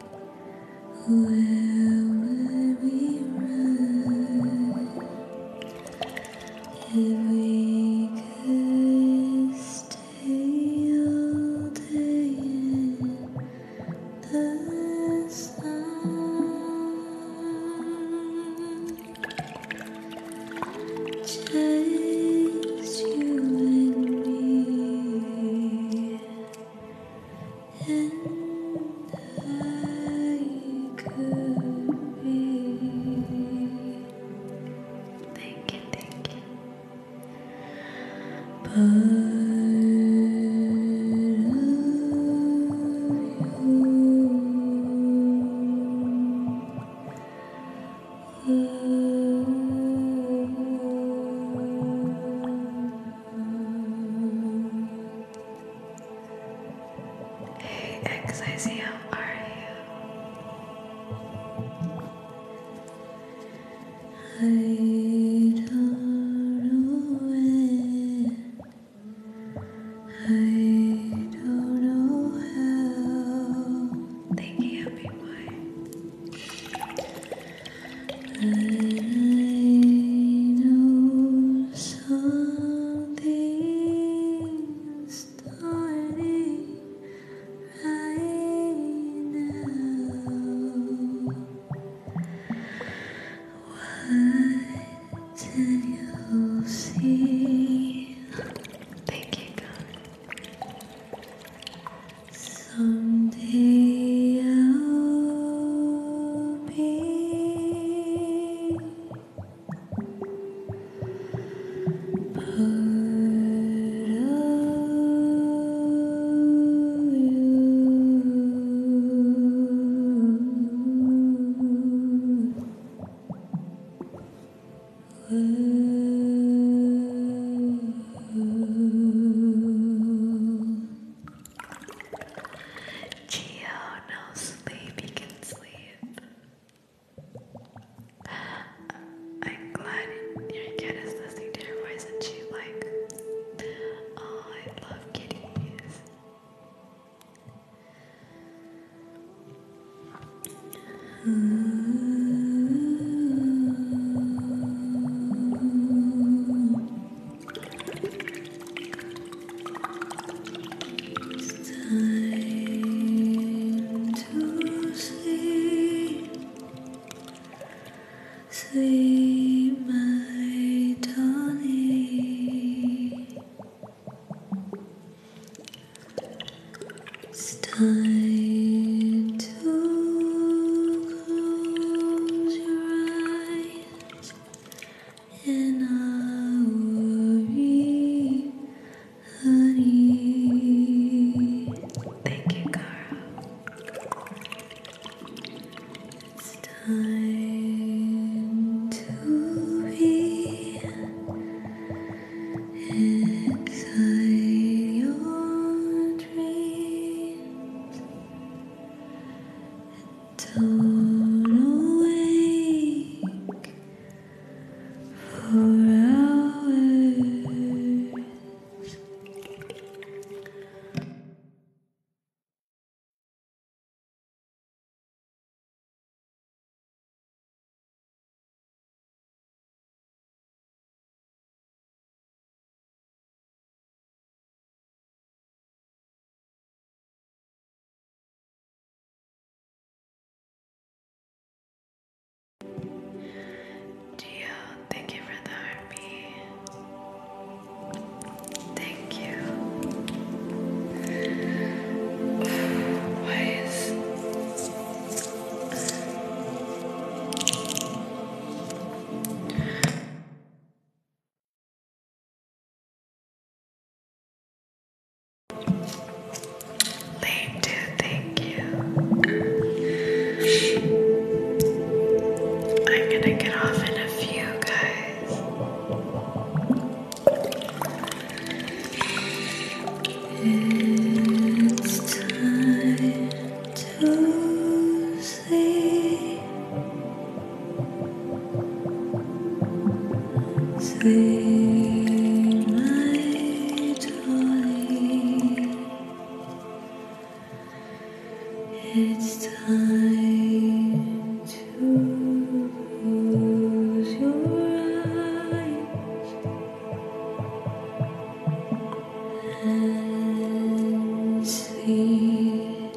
Where would we run if we could stay all day in the sun? Just just you and me, and I could be. Thank you, Part of you. Hey XIC, are you? I don't know when. I don't know how. Thank you, happy boy. But I know something's starting right now. What you see? Thank you, Someday I'll be part of you. Geo, no sleep, you can sleep. I'm glad your cat is listening to your voice and she like, oh, I love kitties. It's time to sleep. Sleep, my darling. It's time to to close your eyes and I worry, honey. Thank you, Cara. It's time to be inside your dream. Don't awake for hours. Dio, thank you for the heartbeat. Thank you. Why is Thank you, thank you. I'm gonna get off in a few, guys. It's time to sleep, sleep, my darling. It's time to close your eyes and see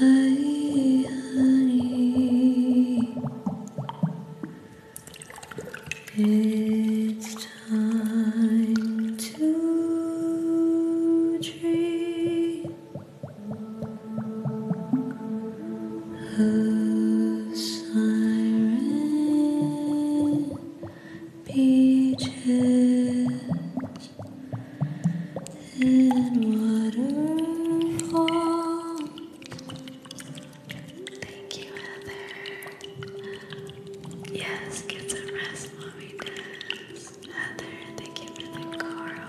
my honey. It's time to dream of siren beaches and waterfalls. Thank you, Heather. Yes, get some rest, mommy does. Heather, thank you for the coral.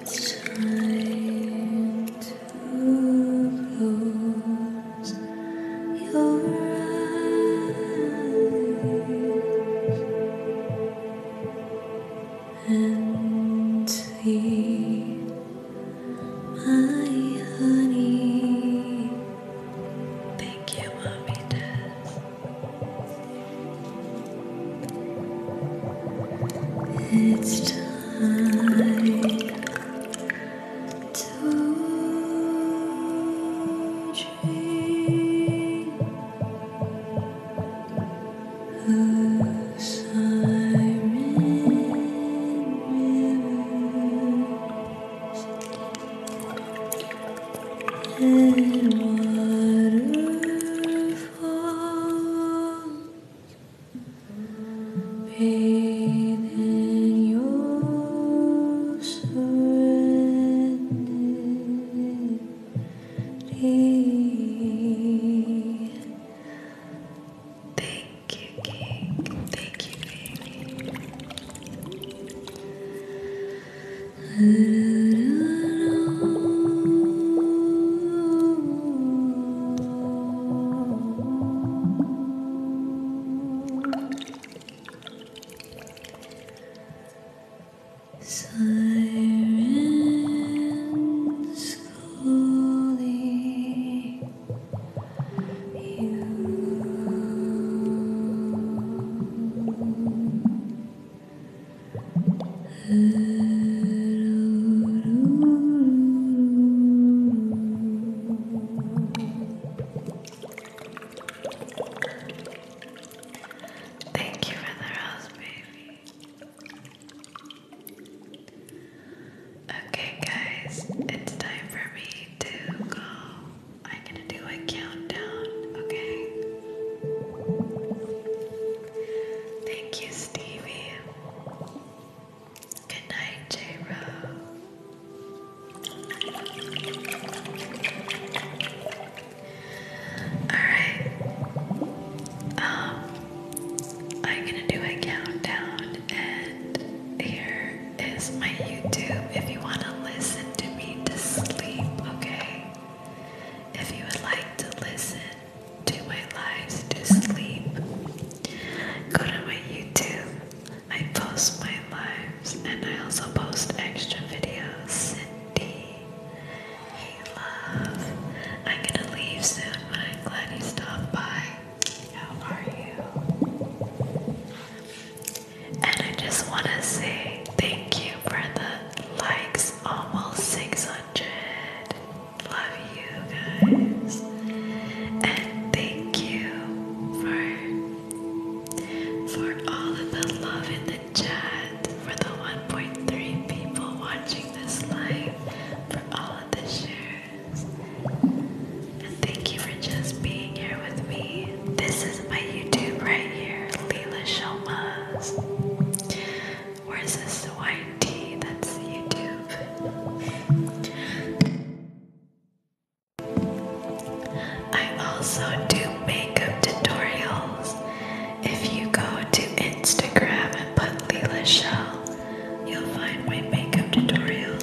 It's time to close your eyes and see my honey. Thank you, Mommy Des. It's time to dream of siren rivers and waterfalls bathing your serenity. Thank you, King. Thank you, baby. Sirens calling you. Thank you for the house, baby. Okay, guys, it's time for me to go. I'm gonna do a countdown, okay? Thank you, Stevie. Good night, J Alright. Um I'm gonna do a countdown and here is my YouTube if you wanna listen to me to sleep, okay? If you would like to listen to my lives to sleep, go to my YouTube. I post my lives and I also post extra videos. Cindy, hey love. I'm gonna leave soon, but I'm glad you stopped by. How are you? And I just want to say thank you for the likes, almost 600. Love you guys. And thank you for for all of the love in the chat, for the 1.3 people watching this live, for all of the shares. And thank you for just being here with me. This is my YouTube right here, Leila Shoma's. Where's this white tea? That's YouTube. I also do makeup tutorials. If you go to Instagram and put Leila Shell, you'll find my makeup tutorials.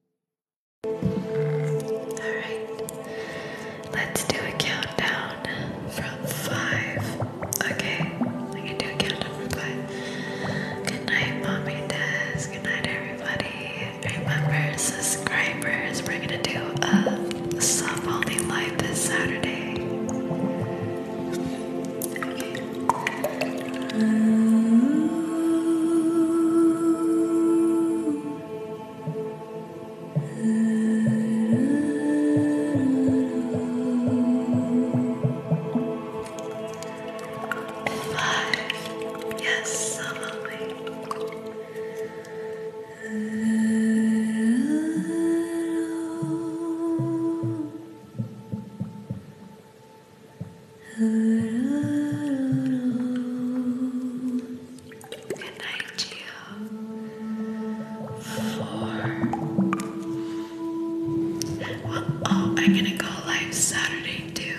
Alright, let's do a countdown from five. Okay, I can do a countdown from five. Good night, Mommy Des. Good night, everybody. Remember, subscribers, we're gonna do a sub only live this Saturday. Five. Yes, I'm Good night, Gio. oh, I'm gonna go live Saturday too.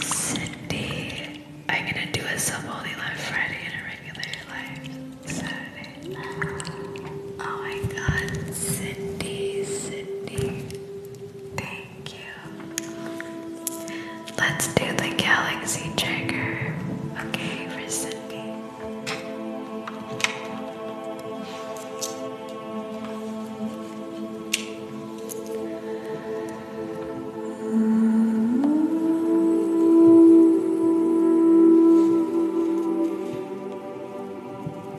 Cindy. I'm gonna do a sub only live Friday and a regular live Saturday. Oh my god, Cindy, Cindy. Thank you. Let's do the galaxy trigger. Okay, for Cindy.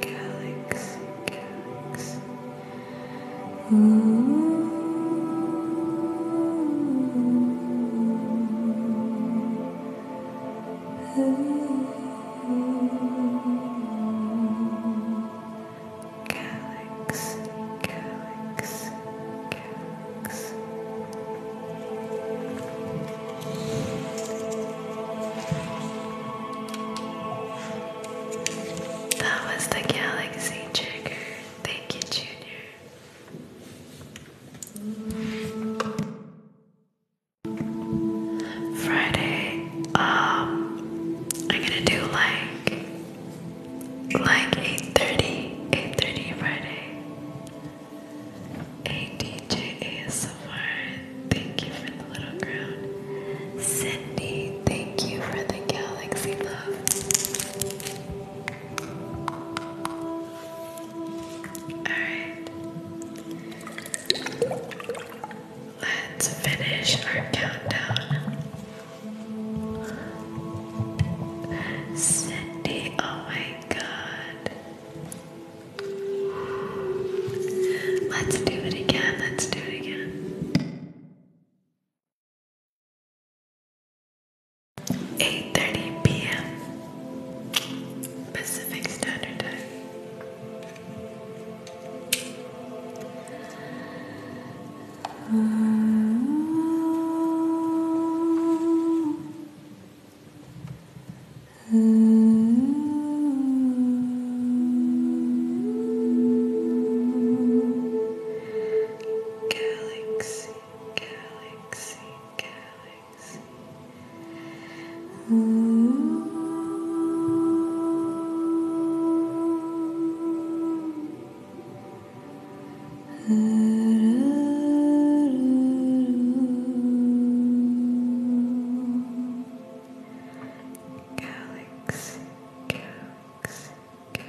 Galaxy, galaxy. Ooh. Ooh. That was the galaxy trigger. Thank you, Junior. Friday, um, I'm gonna do like like 8:30, 8:30 Friday. Hey DJ ASMR, thank you for the little crown. Cindy, thank you for the galaxy love. Alright. Let's finish our countdown. Cindy, oh my god. Let's do it again. Let's do it again. 8:30 p.m. Pacific Standard Time. Galaxy, galaxy, galaxy, Galaxy, galaxy, galaxy.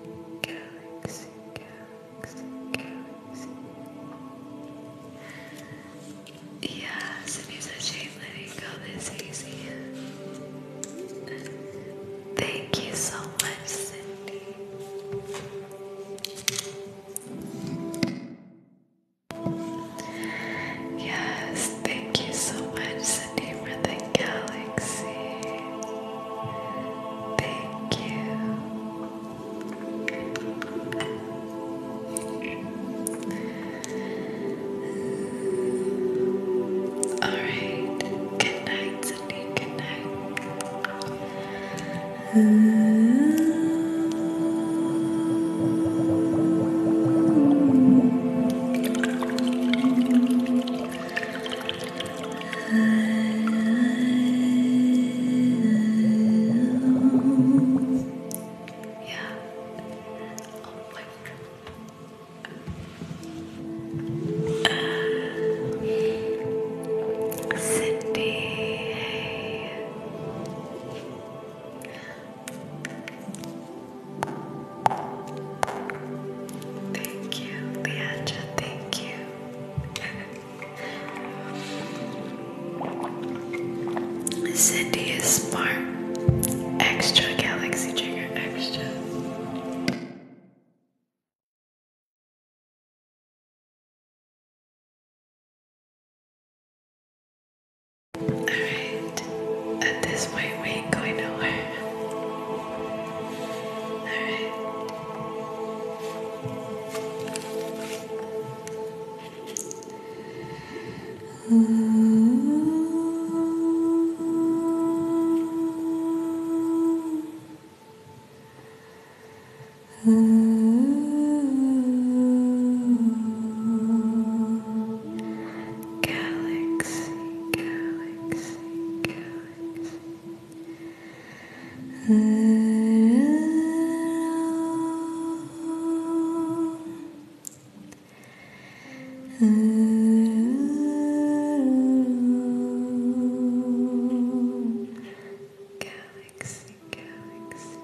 Yes, and you said Shane letting go this easy. Thank you so much, Cindy. Yes, thank you so much, Destiny for the Galaxy. Thank you. Alright. Good night, Sydney. Good night. Mm. Yeah. Oh uh, my God. Cindy. Thank you, Leandra, thank you. [LAUGHS] Cindy is smart. Extra galaxy trigger extra. Alright, at this point we ain't going nowhere. Alright. galaxy, galaxy, galaxy. Galaxy, galaxy.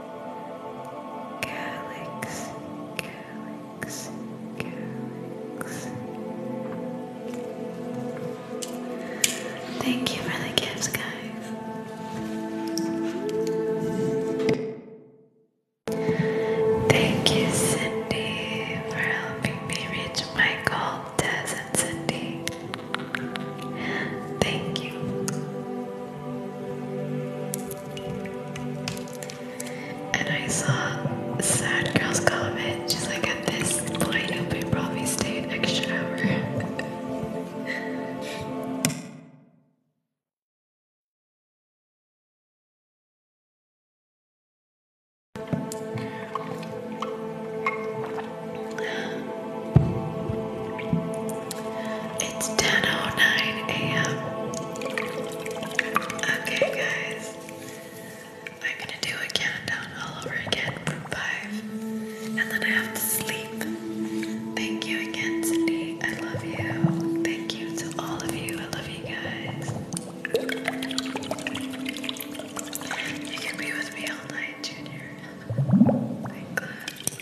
Galaxy, galaxy, galaxy. Thank you for the gifts, guys. Thank you, Cindy, for helping me reach my goal. Des and Cindy. Thank you. And I saw Sad Girl's comment. just like, at this point, you'll probably stay an extra hour. It's 10.09 a.m. Okay, guys. I'm gonna do a countdown all over again 5. And then I have to sleep. Thank you again, Cindy. I love you. Thank you to all of you. I love you guys. You can be with me all night, Junior. Thank God.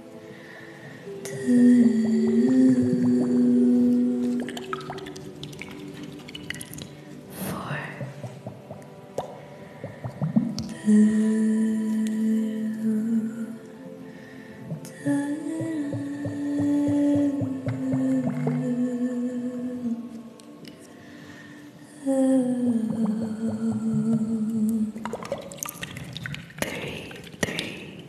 two, four, two, Three, three,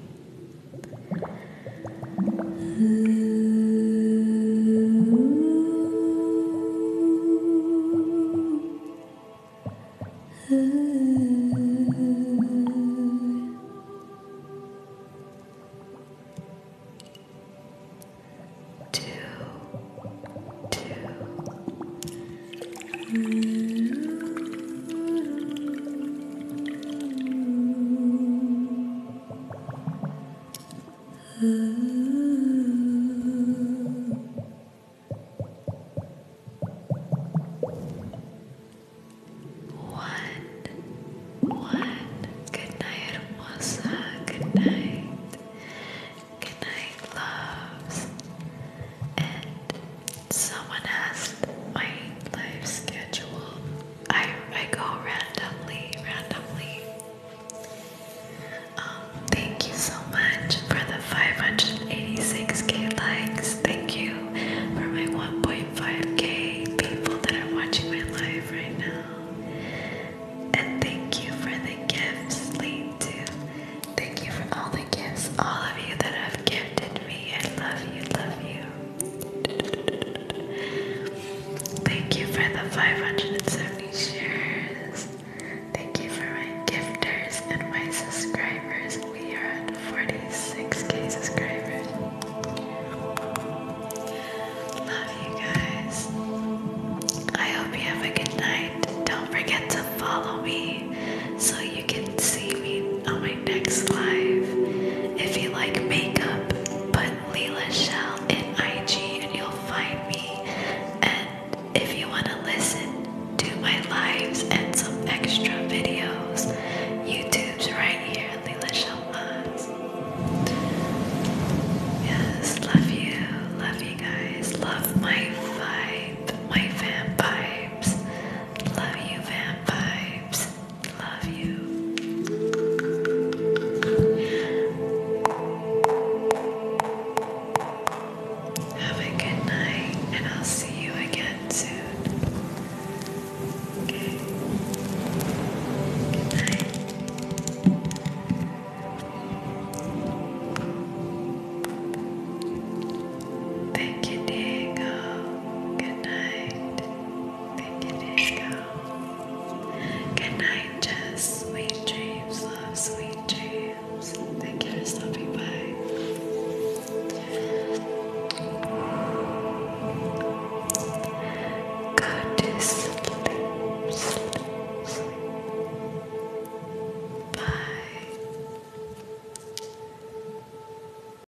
Two, two. What? What? Good night, Hermosa. Good night. Good night, loves. And Someone asked my life schedule. I I go randomly, randomly. Um, thank you so much for the 586k likes. Thank you for my 1.5k people that are watching my live right now. And thank you for the gifts, Lee too. Thank you for all the gifts, all of you that have gifted me. I love you, love you. Thank you for the 570 shares. Thank you for my gifters and my subscribers. We are at 46k subscribers. Love you guys. I hope you have a good night. Don't forget to follow me so you can see me on my next live. If you like makeup, put Leela Shell in IG and you'll find me. And if you want to listen to my lives and some extra videos, YouTube's right here, Leela Shell Yes, love you, love you guys, love my vibe, my fan vibes. Love you, fan vibes. Love you. Have a good night, and I'll see you again soon. Okay. Good night. Thank you, Diego. Good night. Good night, Jess. Sweet dreams, love, sweet dreams. Thank you for stopping by. Go to Bye.